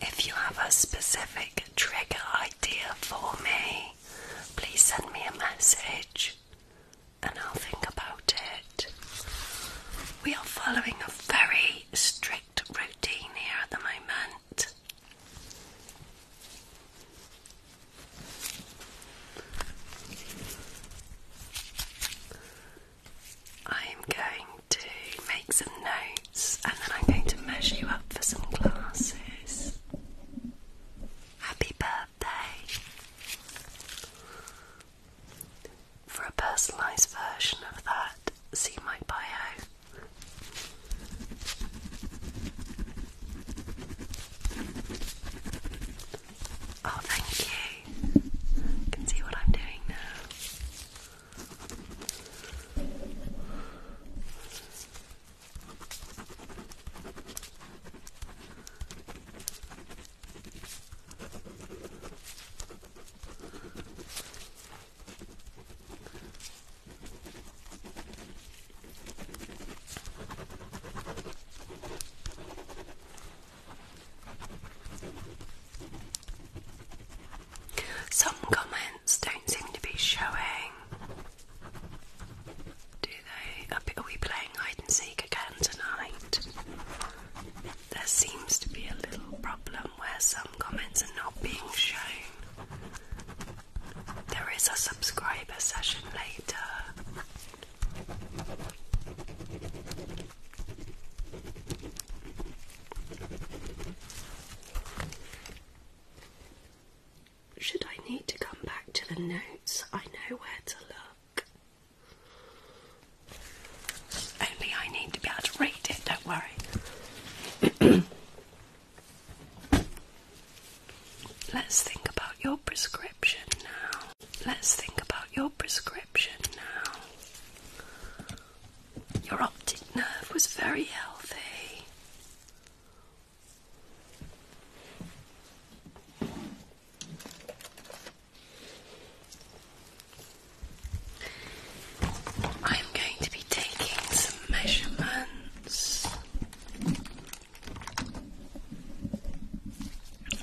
Speaker 1: If you have a specific trigger idea for me, please send me a message and I'll think about it. We are following a very strict routine here at the moment. I am going to make some notes and then I'm going to measure you up for some classes. Happy birthday! For a personalised version of that, see my bio. Oh, thank you. can see what I'm doing now. Some comments don't seem to be showing. Do they? Are we playing hide and seek again tonight? There seems to be a little problem where some comments are not being shown. There is a subscriber session later. Should I need to come back to the notes, I know where to look. Only I need to be able to read it, don't worry. Let's think about your prescription now. Let's think about your prescription now. Your optic nerve was very healthy. I'm going to be taking some measurements.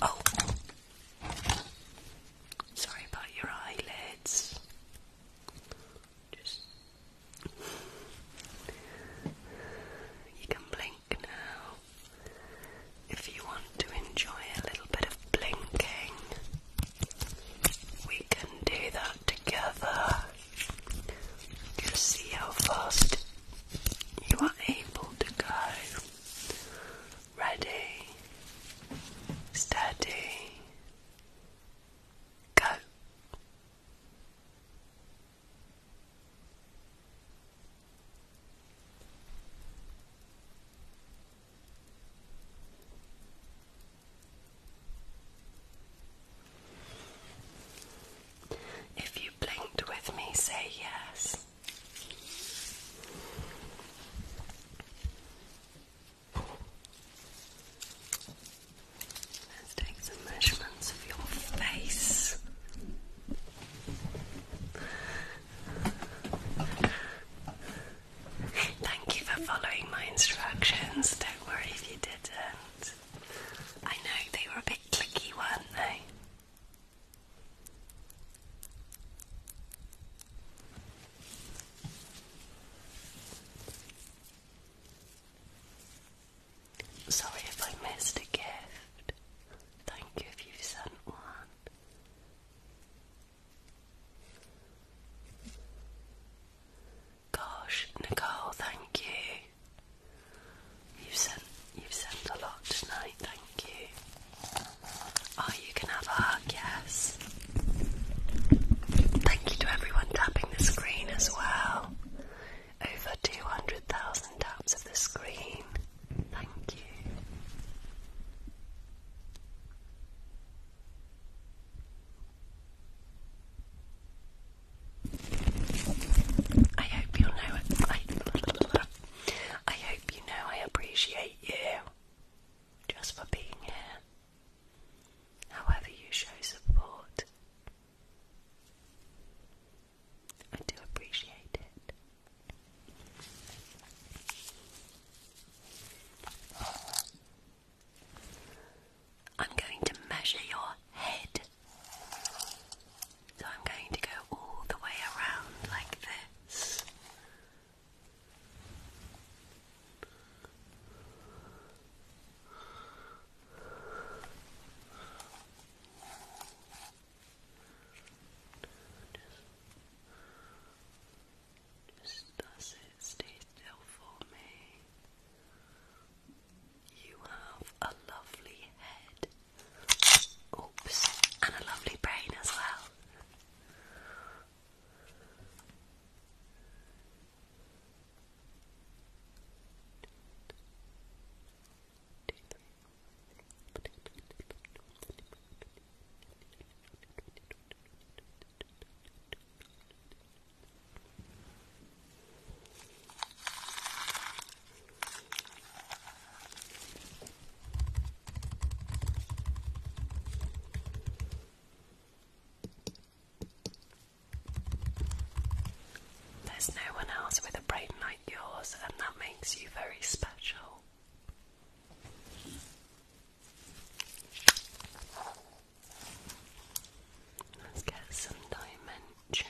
Speaker 1: Oh, Sorry about your eyelids. Just you can blink now if you want to enjoy a little bit of blinking. We can do that together. Just see how fast you are able to go ready, steady, go. If you blinked with me, say yes. Let's take some measurements of your face. Thank you for following my instructions. Don't worry if you didn't. I know they were a bit clicky, weren't they? Sorry if I missed a gift. Thank you if you sent one. Gosh, Nicole, thank you. You've sent you've sent a lot tonight, thank you. Oh, you can have a hug, yes. Thank you to everyone tapping the screen as well. Over 200,000 taps of the screen. Thank you. I hope you know I hope you know I appreciate hate you just for being here. However, you show support, I do appreciate it. I'm going to measure your head. So I'm going to go all the way around like this. Just does it stay still for me? You have a lovely head. Oops, and a lovely brain as well. There's no one else with a brain like yours, and that makes you very special. Let's get some dimensions.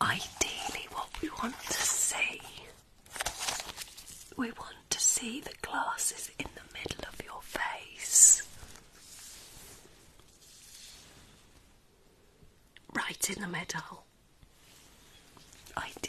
Speaker 1: ideally what we want to see. We want to see the glasses in the middle of your face. Right in the middle. Ideally.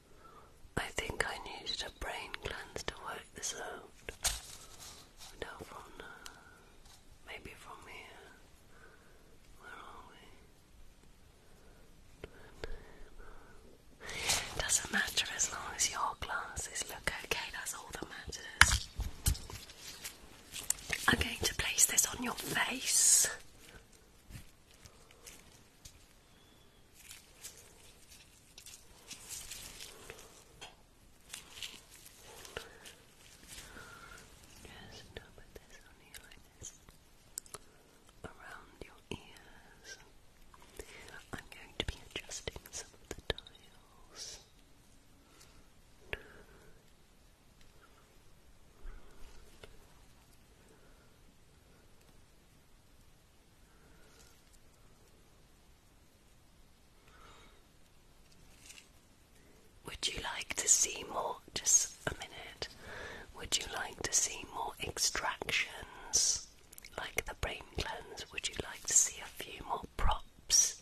Speaker 1: I think I needed a brain cleanse to work this out. No, from uh, maybe from here. Where are we? doesn't matter as long as your glasses look okay, that's all that matters. I'm going to place this on your face. Just put this on you around your ears. I'm going to be adjusting some of the dials. Would you like to see more? Just a minute. Would you like to see more extractions like the brain cleanse? Would you like to see a few more props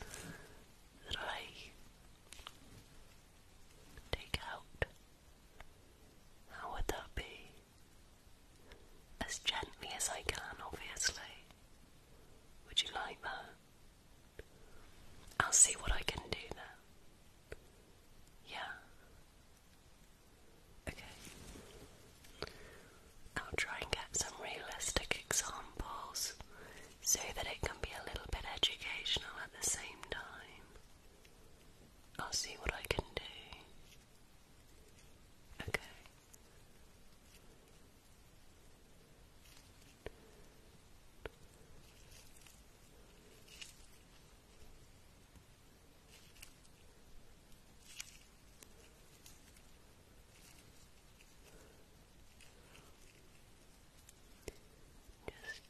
Speaker 1: that I take out? How would that be? As gently as I can, obviously. Would you like that? I'll see what I can do now. Yeah. Okay. I'll try and get some realistic examples so that it can be a little bit educational at the same time. I'll see what I can do. Okay. Just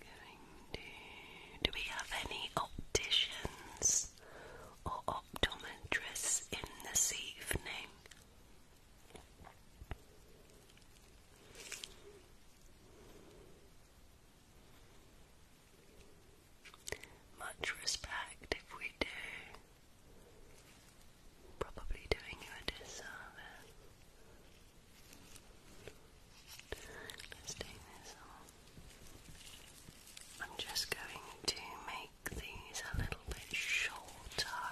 Speaker 1: going do we have any opticians or optometrists in this evening? Much respect if we do. Probably doing you a disservice. Let's take this I'm just going to make these a little bit shorter.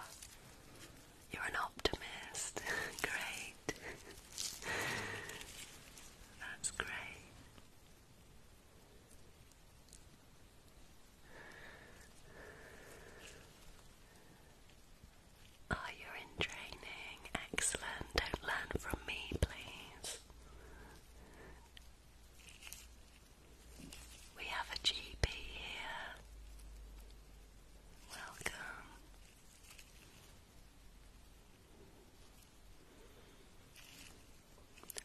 Speaker 1: You're an optimist. great. That's great. Oh, you're in training. Excellent. Don't learn from me, please. We have a GP here. Welcome.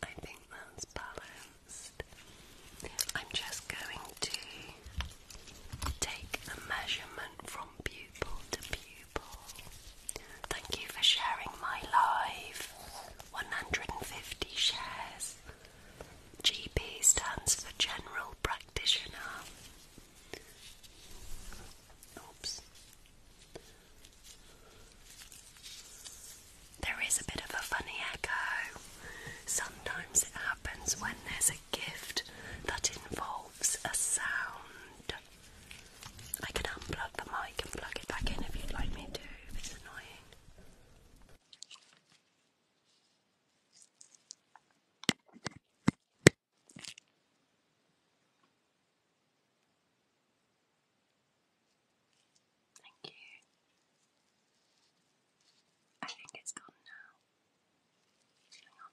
Speaker 1: I think that's balanced. I'm just going to take a measurement from pupil to pupil. Thank you for sharing my life. 150 shares. GP stands for General Practitioner. Oops. There is a bit of a funny echo. Sometimes it happens when there's a gift that involves a sound. I can unplug the mic and plug it back in if you'd like me to, it's annoying. Thank you. I think it's gone now. Hang on.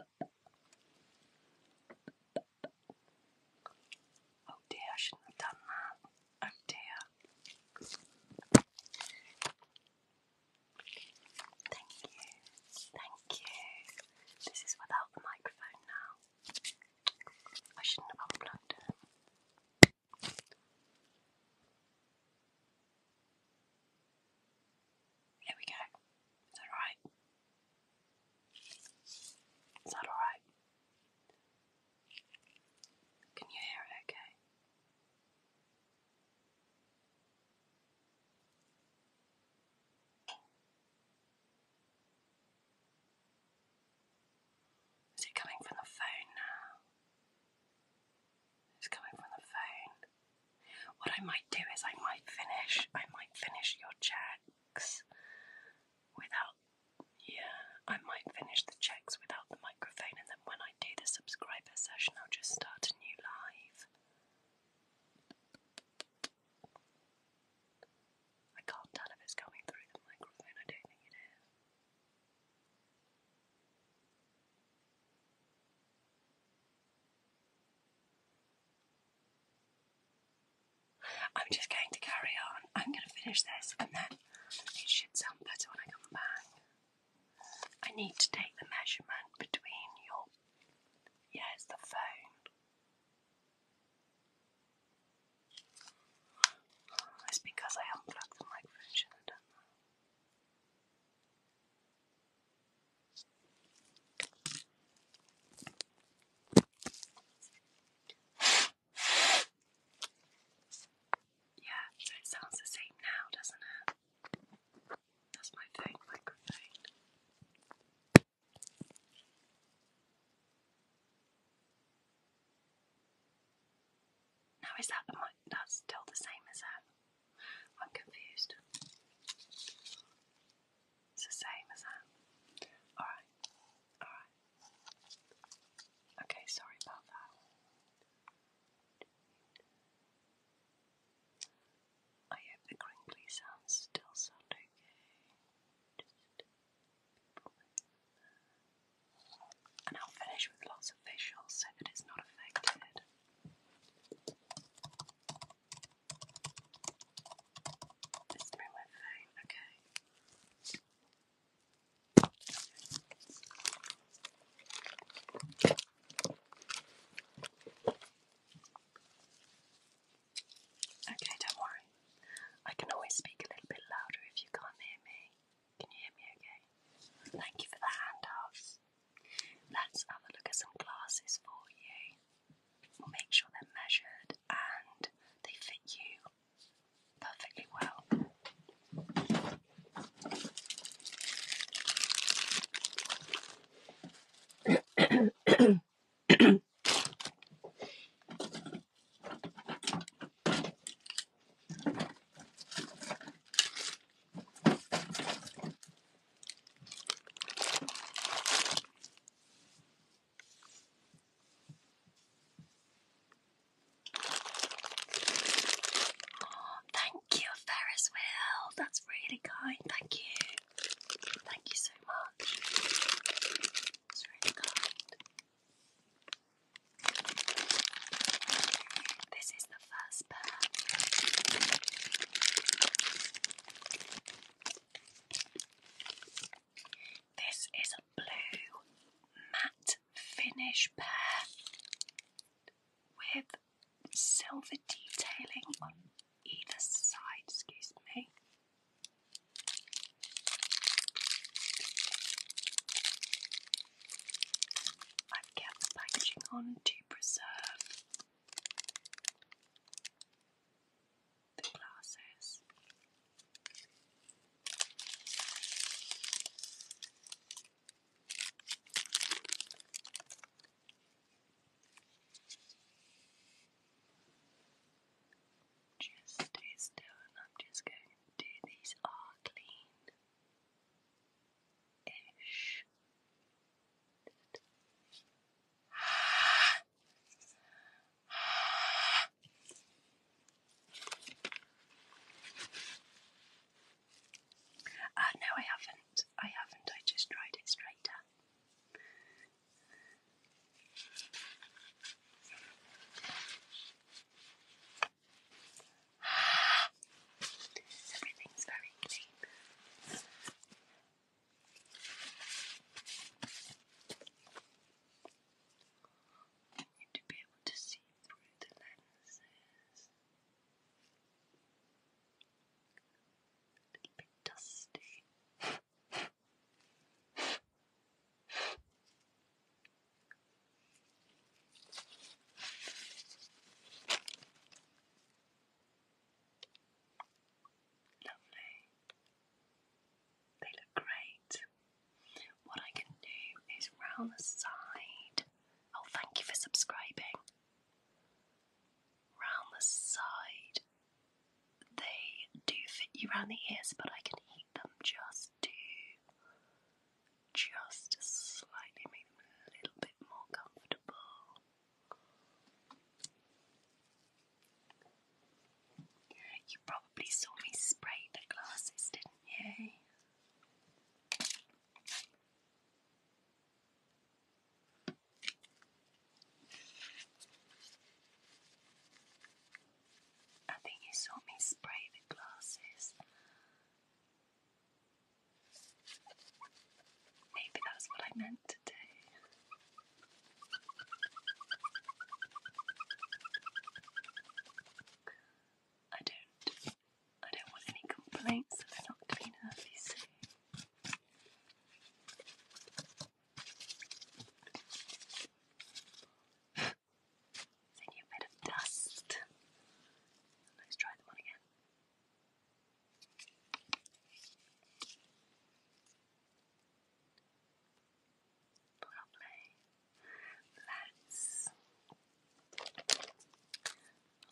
Speaker 1: Oh dear, I shouldn't have done that. Oh dear. Thank you. Thank you. This is without the microphone now. I shouldn't have unplugged it. Here we go. Is that alright? Is that alright? Can you hear it okay? Is it coming from the phone now? It's coming from the phone. What I might do is I might finish I might finish your checks without yeah, I might finish the checks without the microphone and then when I do the subscriber session I'll just start a new live. I can't tell if it's coming through the microphone, I don't think it is. I'm just going to carry on. I'm going to finish this and then it should sound better when I come back. I need to take the measurement between your. Yes, yeah, the phone. It's because I unplugged the microphone, should have done yeah, so it sounds the same now, doesn't it? That's my phone microphone. Now is that the mic? That's still the same as that. I'm confused. It's the same as that. Alright, alright. Okay, sorry about that. I hope the crinkly sounds still sound okay. and I'll finish with lots of visuals so it's not affected. Let's bring my phone, okay. Okay, don't worry. I can always speak a little bit louder if you can't hear me. Can you hear me okay? Thank you for the handouts. Let's have a look at some glasses for you. We'll make sure they're measured and they fit you perfectly well. Oh, thank you, Ferris Wheel. That's really kind. Thank you. Thank you so much. It's really kind. This is the this is a blue matte finish pair with silver detailing on either side, excuse me. I've kept the packaging on to preserve the glasses. Just stay still, I'm just going to these are clean ish. Ah, no, I haven't. I haven't. I just tried it straight up. Everything's very clean. And to be able to see through the lenses. A little bit dusty. Lovely. They look great. What I can do is round the side. Oh, thank you for subscribing. Round the side, they do fit you round the ears, but I can heat them just to just slightly make them a little bit more comfortable. You probably saw me spray the glasses, didn't you? I think you saw me spray the glasses. Maybe that's what I meant to do. I don't I don't want any complaints that not clean you see. a bit of dust. Let's try them on again. Lovely. Let's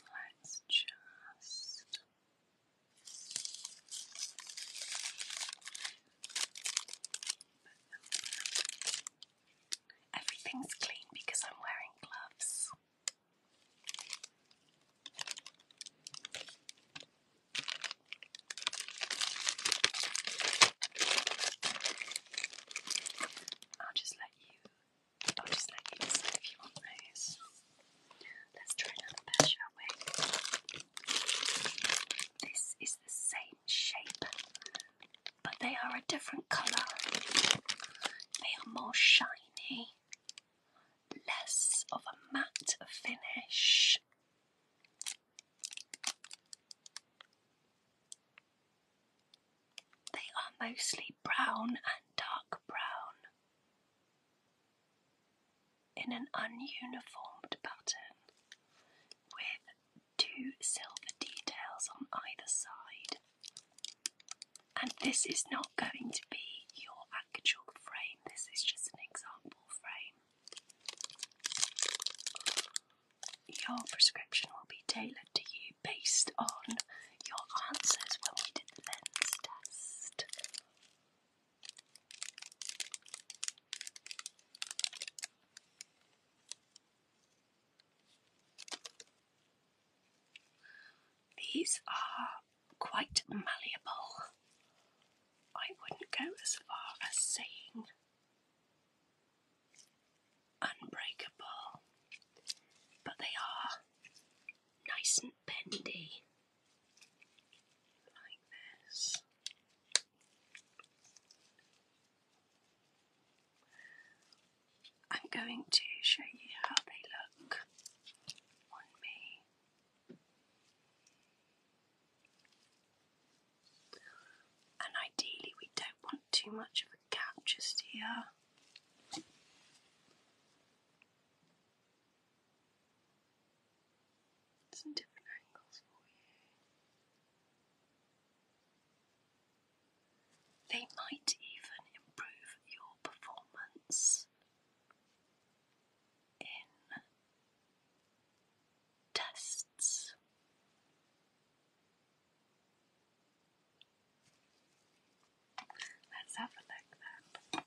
Speaker 1: let's just Everything's clean because I'm wearing gloves. I'll just let you I'll just let you decide if you want those. Let's try another pair, shall we? This is the same shape, but they are a different colour. They are more shiny less of a matte finish. They are mostly brown and dark brown in an ununiformed pattern with two silver details on either side. And this is not going to be your actual frame, this is just an example frame. Your prescription will be tailored to you based on your answers when we did the lens test. These are quite malleable. I wouldn't go as far as saying unbreakable, but they are nice and bendy, like this. I'm going to show you how they look on me. And ideally, we don't want too much of a gap just here. Some different angles for you. They might even improve your performance in tests. Let's have a look then.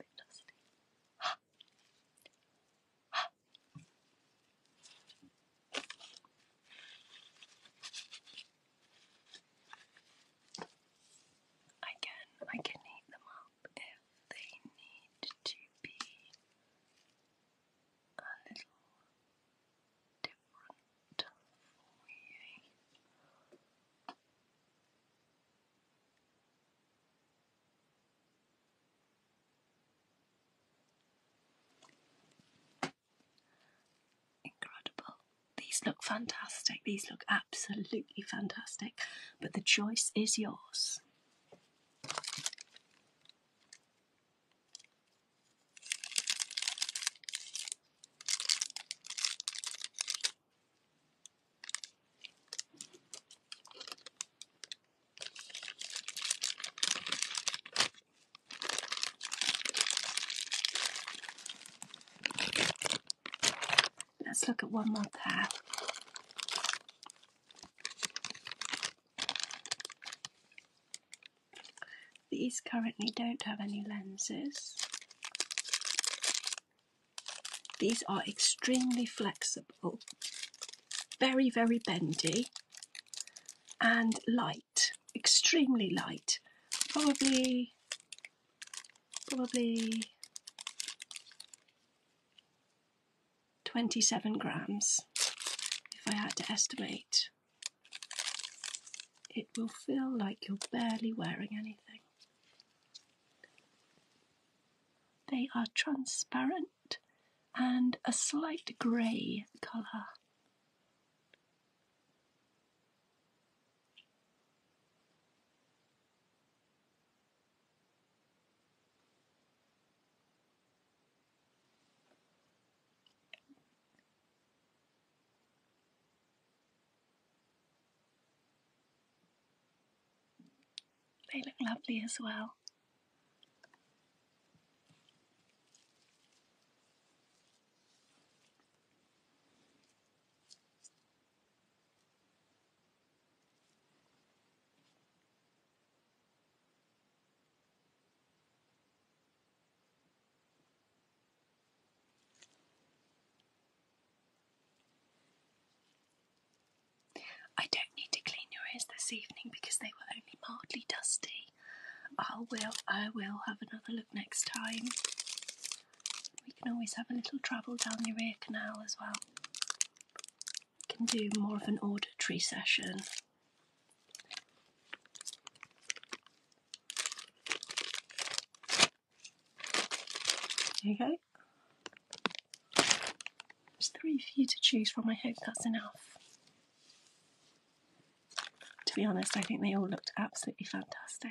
Speaker 1: A dusty. I I can eat them up if they need to be a little different for you. Incredible. These look fantastic. These look absolutely fantastic. But the choice is yours. Let's look at one more pair. These currently don't have any lenses. These are extremely flexible, very, very bendy, and light, extremely light, probably, probably 27 grams, if I had to estimate. It will feel like you're barely wearing anything. They are transparent and a slight grey colour. They look lovely as well. I don't need to clean your ears this evening because they were only mildly dusty. I will, I will have another look next time. We can always have a little travel down the ear canal as well. We can do more of an auditory session. Okay. There's three for you to choose from. I hope that's enough. To be honest, I think they all looked absolutely fantastic.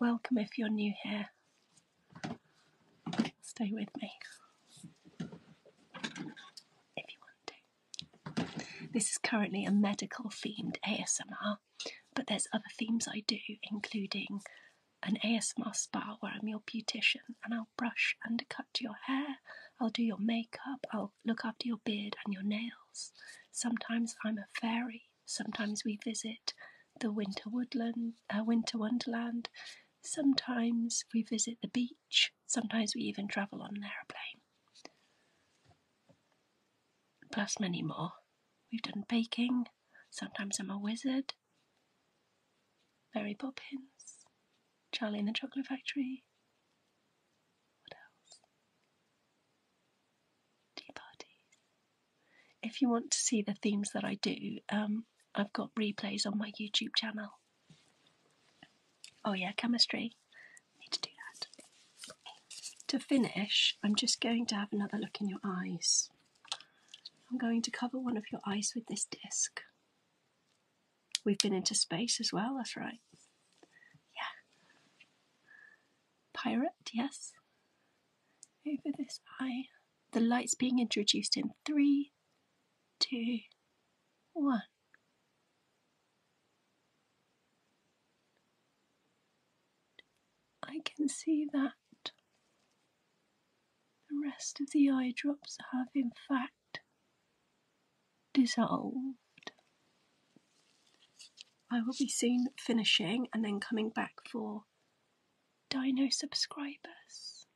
Speaker 1: Welcome if you're new here. Stay with me if you want to. This is currently a medical themed ASMR, but there's other themes I do, including an ASMR spa where I'm your beautician and I'll brush and cut your hair, I'll do your makeup, I'll look after your beard and your nails. Sometimes I'm a fairy, sometimes we visit the winter woodland, uh, winter wonderland, sometimes we visit the beach, Sometimes we even travel on an aeroplane. Plus, many more. We've done baking. Sometimes I'm a wizard. Mary Poppins. Charlie in the Chocolate Factory. What else? Tea parties. If you want to see the themes that I do, um, I've got replays on my YouTube channel. Oh, yeah, chemistry. Need to do that. To finish, I'm just going to have another look in your eyes. I'm going to cover one of your eyes with this disc. We've been into space as well, that's right. Yeah. Pirate, yes. Over this eye. The light's being introduced in three, two, one. I can see that the rest of the eye drops have, in fact, dissolved. I will be soon finishing and then coming back for Dino subscribers.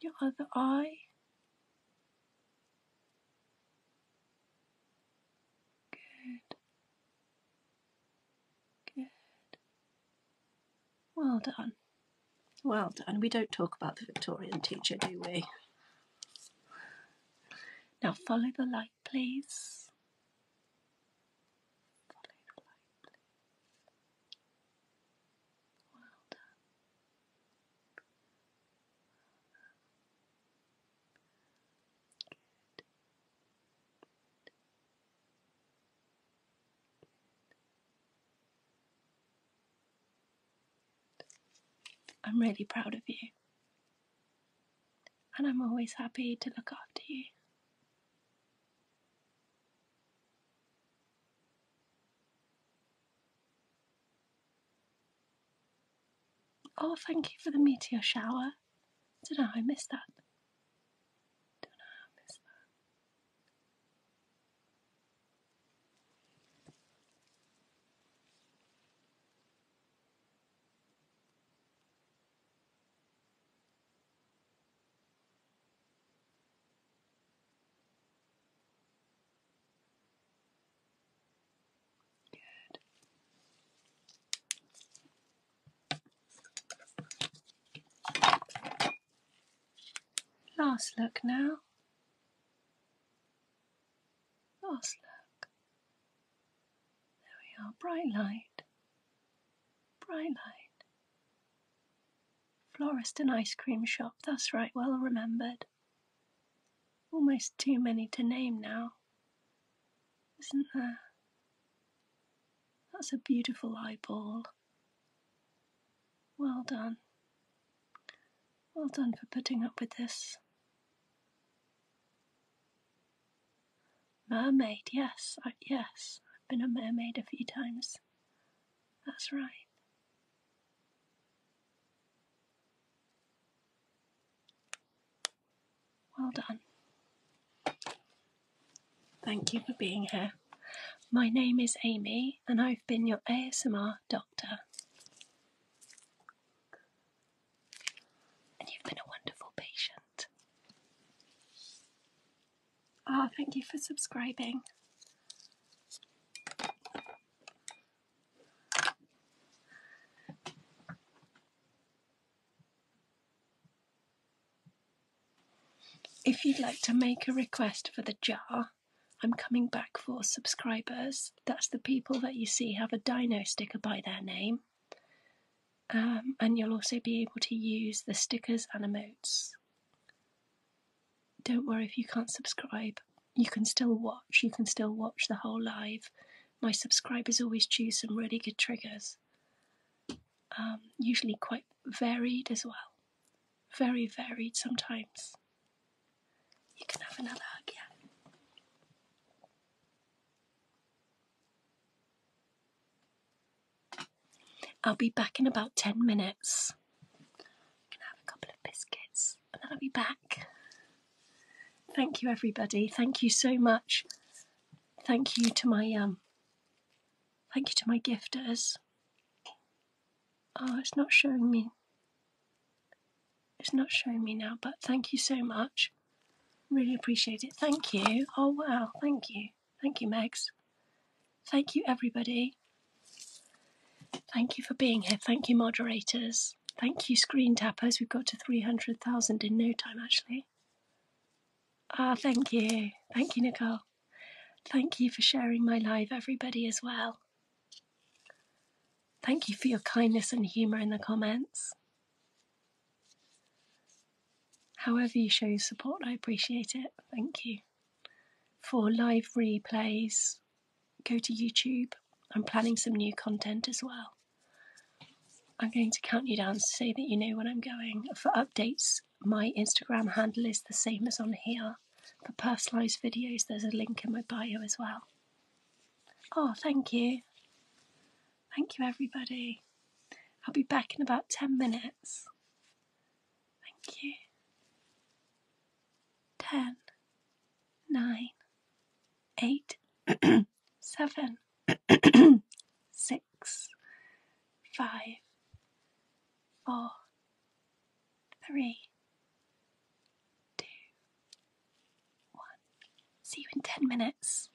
Speaker 1: Your other eye. Good. Good. Well done. Well done. We don't talk about the Victorian teacher, do we? Now follow the light, please. Follow the light, please. Well done. I'm really proud of you. And I'm always happy to look after you. Oh, thank you for the meteor shower. Don't know I missed that. Don't know I missed that. Good. Last look now. Last look. There we are. Bright light. Bright light. Florist and ice cream shop, that's right, well remembered. Almost too many to name now, isn't there? That's a beautiful eyeball. Well done. Well done for putting up with this. Mermaid, yes, yes. I've been a mermaid a few times that's right. Well done. Thank you for being here. My name is Amy, and I've been your ASMR doctor. And you've been a wonderful patient. Ah, thank you for subscribing. If you'd like to make a request for the jar, I'm coming back for subscribers. That's the people that you see have a dino sticker by their name. Um, and you'll also be able to use the stickers and emotes don't worry if you can't subscribe. You can still watch. You can still watch the whole live. My subscribers always choose some really good triggers, um, usually quite varied as well. Very varied sometimes. You can have another hug, yeah. I'll be back in about 10 minutes. i have a couple of biscuits and then I'll be back. Thank you, everybody. Thank you so much. Thank you to my um. Thank you to my gifters. Oh, it's not showing me. It's not showing me now, but thank you so much. Really appreciate it. Thank you. Oh wow, thank you. Thank you, Megs. Thank you, everybody. Thank you for being here. Thank you, moderators. Thank you, screen tappers. We've got to 300,000 in no time, actually. Ah, thank you. Thank you, Nicole. Thank you for sharing my live, everybody, as well. Thank you for your kindness and humour in the comments. However, you show your support, I appreciate it. Thank you for live replays, go to YouTube. I'm planning some new content as well. I'm going to count you down so that you know when I'm going. For updates, my Instagram handle is the same as on here. For personalised videos, there's a link in my bio as well. Oh, thank you. Thank you, everybody. I'll be back in about 10 minutes. Thank you. Ten, nine, eight, seven, six, five, four, three, two, one. See you in ten minutes.